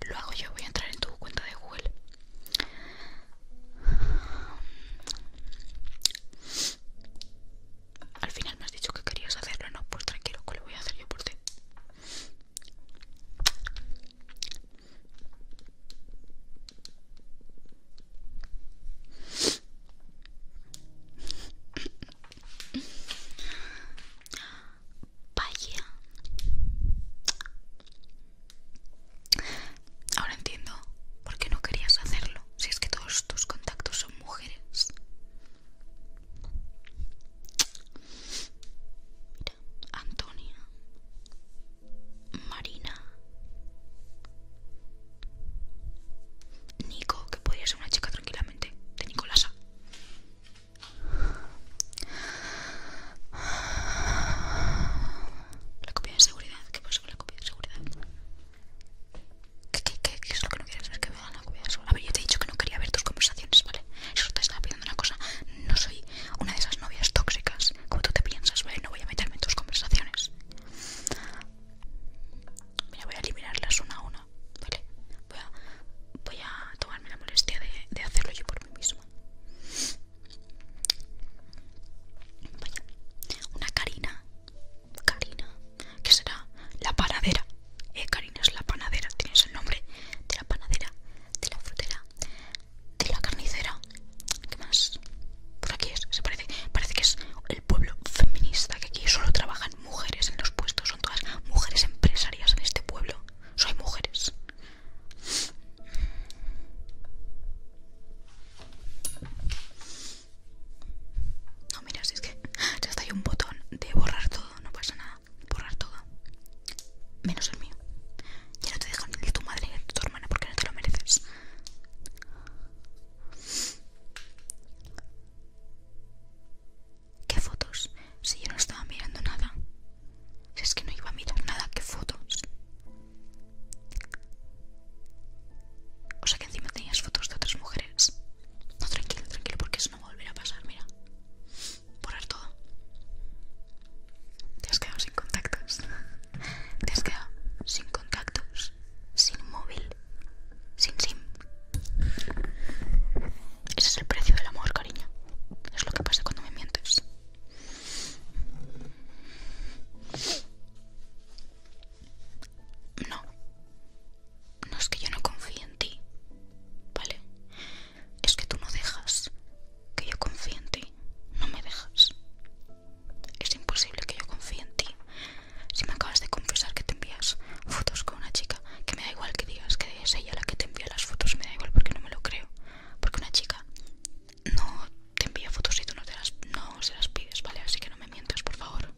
Lo hago yo, voy a entrar en tu cuenta de Google. Al final me has dicho que querías hacerlo, no, pues tranquilo, que lo voy a hacer yo por ti. Vaya. Ahora entiendo por qué no querías hacerlo, si es que todos tus contactos son mujeres. Mira, Antonia, Marina. Nico, que podría ser una chica tranquilamente. De Nicolasa. La copia de seguridad. ¿Qué pasa con la copia de seguridad? ¿Qué, es lo que no quieres ver? Que vean la copia de seguridad. A ver, yo te he dicho que no quería ver tus conversaciones, ¿vale? Eso te estaba pidiendo una cosa no soy una de esas novias tóxicas como tú te piensas, ¿vale? No voy a meterme en tus conversaciones. Mira, voy a eliminarlas una a una, ¿vale? Voy a, tomarme la molestia de, hacerlo yo por mí misma. Vaya, una Karina. Karina, que será la panadera. Eh, Karina es la panadera, tienes el nombre de la panadera, de la frutera, de la carnicera. ¿Qué más? Por aquí es, se parece, parece que es el pueblo feminista, que aquí solo trabajan mujeres en los puestos, son todas mujeres empresarias en este pueblo. hay mujeres. No, mira, si es que ya está ahí un botón de borrar todo, no pasa nada. Borrar todo menos el mío. Ya no te dejan ni tu madre ni tu hermana porque no te lo mereces. ¿Qué fotos? Si yo no estaba mirando nada. Si es que no iba a mirar nada, ¿qué fotos? O sea que encima tenías fotos de otras mujeres. No, tranquilo, tranquilo, porque eso no volverá a volver a pasar, mira. Borrar todo. Te has quedado sin contactos. Te has quedado sin contactos, sin móvil, sin sim. Ese es el precio del amor, cariño. Es lo que pasa cuando me mientes. No. No es que yo no confíe en ti. ¿Vale? Es que tú no dejas que yo confíe en ti. No me dejas. Es imposible que yo confíe en ti. Si me acabas de confesar que te envías fotos con una chica, que me da igual que digas que es ella la que te envía las fotos, me da igual porque no me lo creo. Porque una chica no te envía fotos y tú no, las, no se las pides, ¿vale? Así que no me mientas, por favor.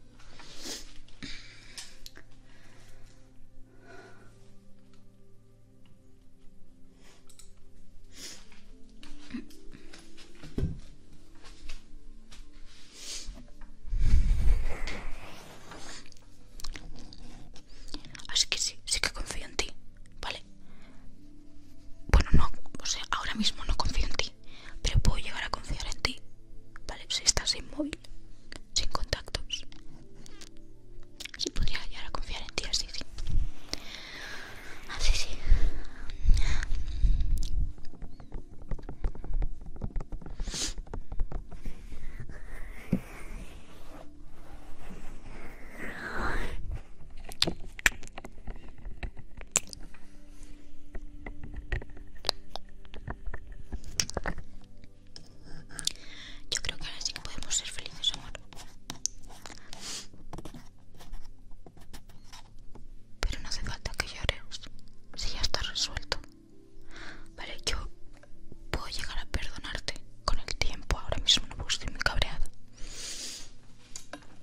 Así que sí, sí que confío en ti, ¿vale? Bueno, no, o sea, ahora mismo no confío en ti, pero puedo llegar a confiar en ti, ¿vale? Si estás inmóvil, sin contactos. Si podría llegar a confiar en ti, así sí. Así ah, sí. Yo creo que ahora sí que podemos ser felices, amor. Pero no hace falta que llores, si ya está resuelto. Vale, yo puedo llegar a perdonarte con el tiempo, ahora mismo no estoy muy cabreada.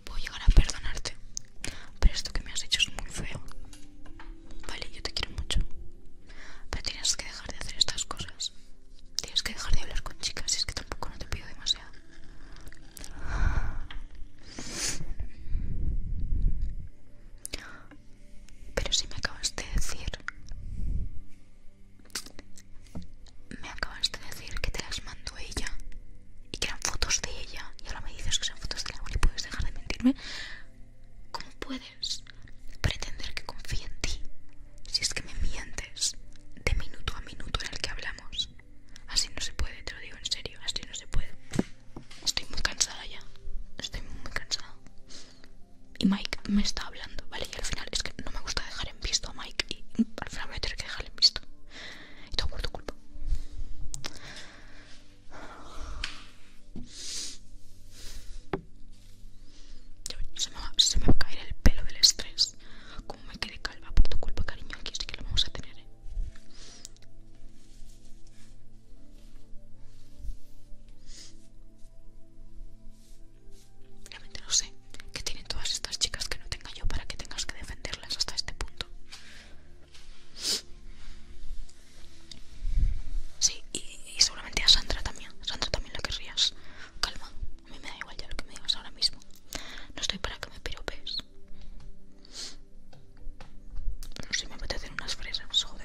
Puedo llegar a perdonarte, pero esto que me has hecho es muy feo. Vale, yo te quiero mucho. Pero tienes que dejar de hacer estas cosas. Tienes que dejar de hablar con chicas, y es que tampoco no te pido demasiado. Pero si me acabas de decir... Me acabas de decir que te las mandó ella y que eran fotos de ella y ahora me dices que son fotos de la y puedes dejar de mentirme. ¿Cómo puedes pretender que confíe en ti si es que me mientes de minuto a minuto en el que hablamos. Así no se puede, te lo digo en serio, así no se puede. Estoy muy cansada ya. Estoy muy cansada. Y Mike me está hablando, ¿vale? Y al final es que no me gusta dejar en visto a Mike y al final voy a tener que dejarle en visto. Y todo por tu culpa. se me va a caer el pelo del estrés. Cómo como me quedé calva por tu culpa, cariño. Aquí sí que lo vamos a tener, ¿eh? Realmente no sé qué tienen todas estas chicas que no tenga yo para que tengas que defenderlas hasta este punto. Sí, y, y seguramente a Sandra también. Sandra también la querrías. Calma, a mí me da igual ya lo que me digas ahora mismo. No estoy para que me piropes. No sé, me hacer unas fresas, joder.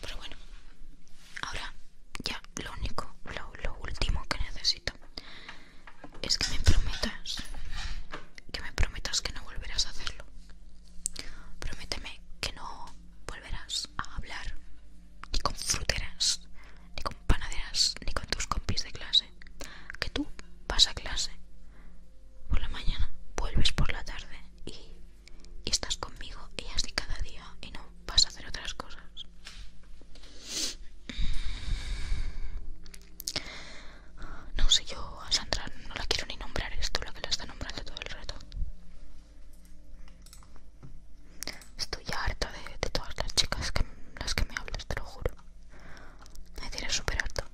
Pero bueno, Ahora, ya lo único, lo, último que necesito es que me prometas, que me prometas que no volverás a hacerlo. Prométeme que no volverás a hablar ni con fruteras, ni con panaderas, ni con tus compis de clase. Que tú vas a clase por la mañana, vuelves por la tarde y y estás conmigo y así cada día y no vas a hacer otras cosas. No sé, yo a Sandra no la quiero ni nombrar, Es tú la que la está nombrando todo el rato. Estoy harta de, todas las chicas que las que me hablas, te lo juro. Me tienes súper harta.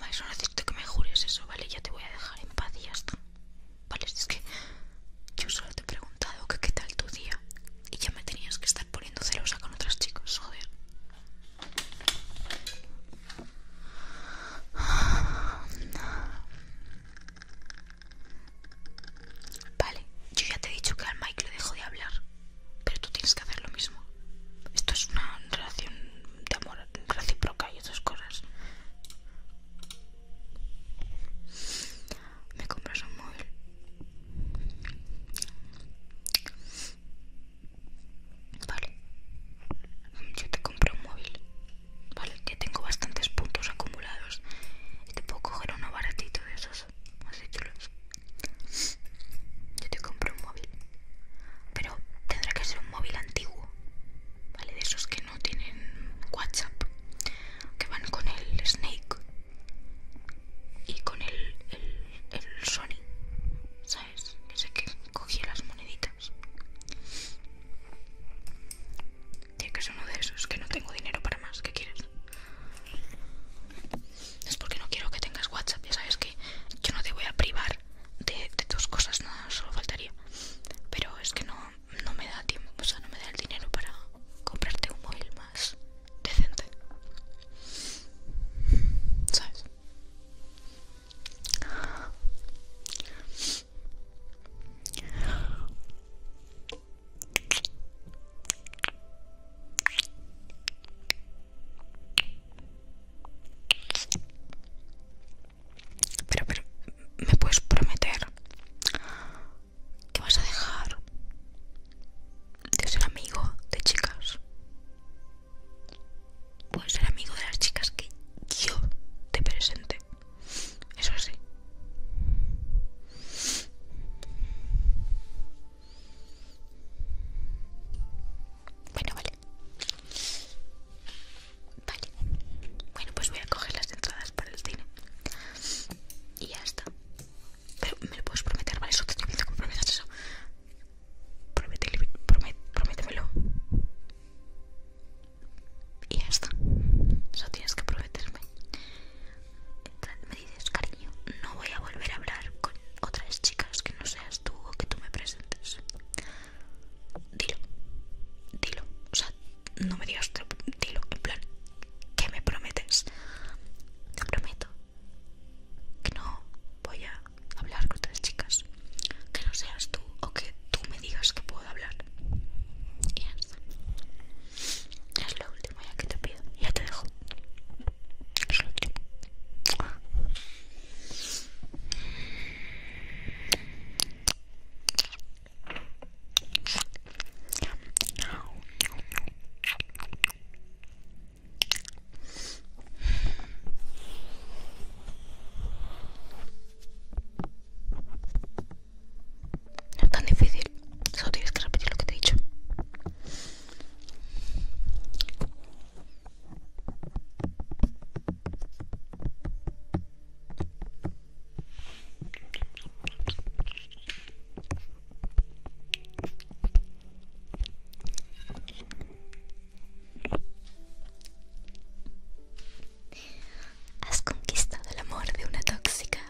Vale, solo decirte que me jures eso, ¿vale? Ya te voy a dejar en paz y ya está. Vale, es que yo solo te he preguntado que qué tal tu día y ya me tenías que estar poniendo celosa con otras chicas, joder. Vale, yo ya te he dicho que al Mike le dejo de hablar pero tú tienes que hacer lo mismo. Esto es una relación de amor recíproca y otras cosas. Me compras un móvil. Vale. Yo te compro un móvil. Vale, que tengo bastantes puntos acumulados. Y te puedo coger uno baratito de esos. Así chulos. Yo te compro un móvil. Pero tendrá que ser un móvil antiguo. ¿Vale? De esos que no tienen WhatsApp. Que van con el Snake. Y con el, Sony. ¿Sabes? Ese que cogía las moneditas. Tiene que ser uno de esos. Que no tengo dinero para más. ¿Qué quieres? es porque no quiero que tengas WhatsApp. Ya sabes que yo no te voy a privar de, tus cosas, nada, solo faltaría. Pero es que no, no me da tiempo, o sea, no me da el dinero para comprarte un móvil más decente. ¿Sabes? Pero, pero, ¿me puedes prometer que vas a dejar de ser amigo de chicas? Puedes ser amigo de las chicas que yo te presente. Eso sí. Bueno, vale. Vale. Bueno, pues voy a coger las entradas para el cine. Y ya está. Pero me lo puedes prometer, ¿vale? Eso te que prometas eso. prométemelo. Y ya está. Eso tienes que prometerme. Me dices, cariño, no voy a volver a hablar con otras chicas no seas tú o que tú me presentes. Dilo, dilo, o sea, no me digas, dilo, en plan, ¿qué me prometes? Te prometo que no voy a hablar con otras chicas, que no seas tú o que tú me digas que puedo hablar. Y ya Es lo último ya que te pido, ya te dejo. Es lo último. No es tan difícil, solo tienes que repetir lo que te he dicho. Has conquistado el amor de una tóxica.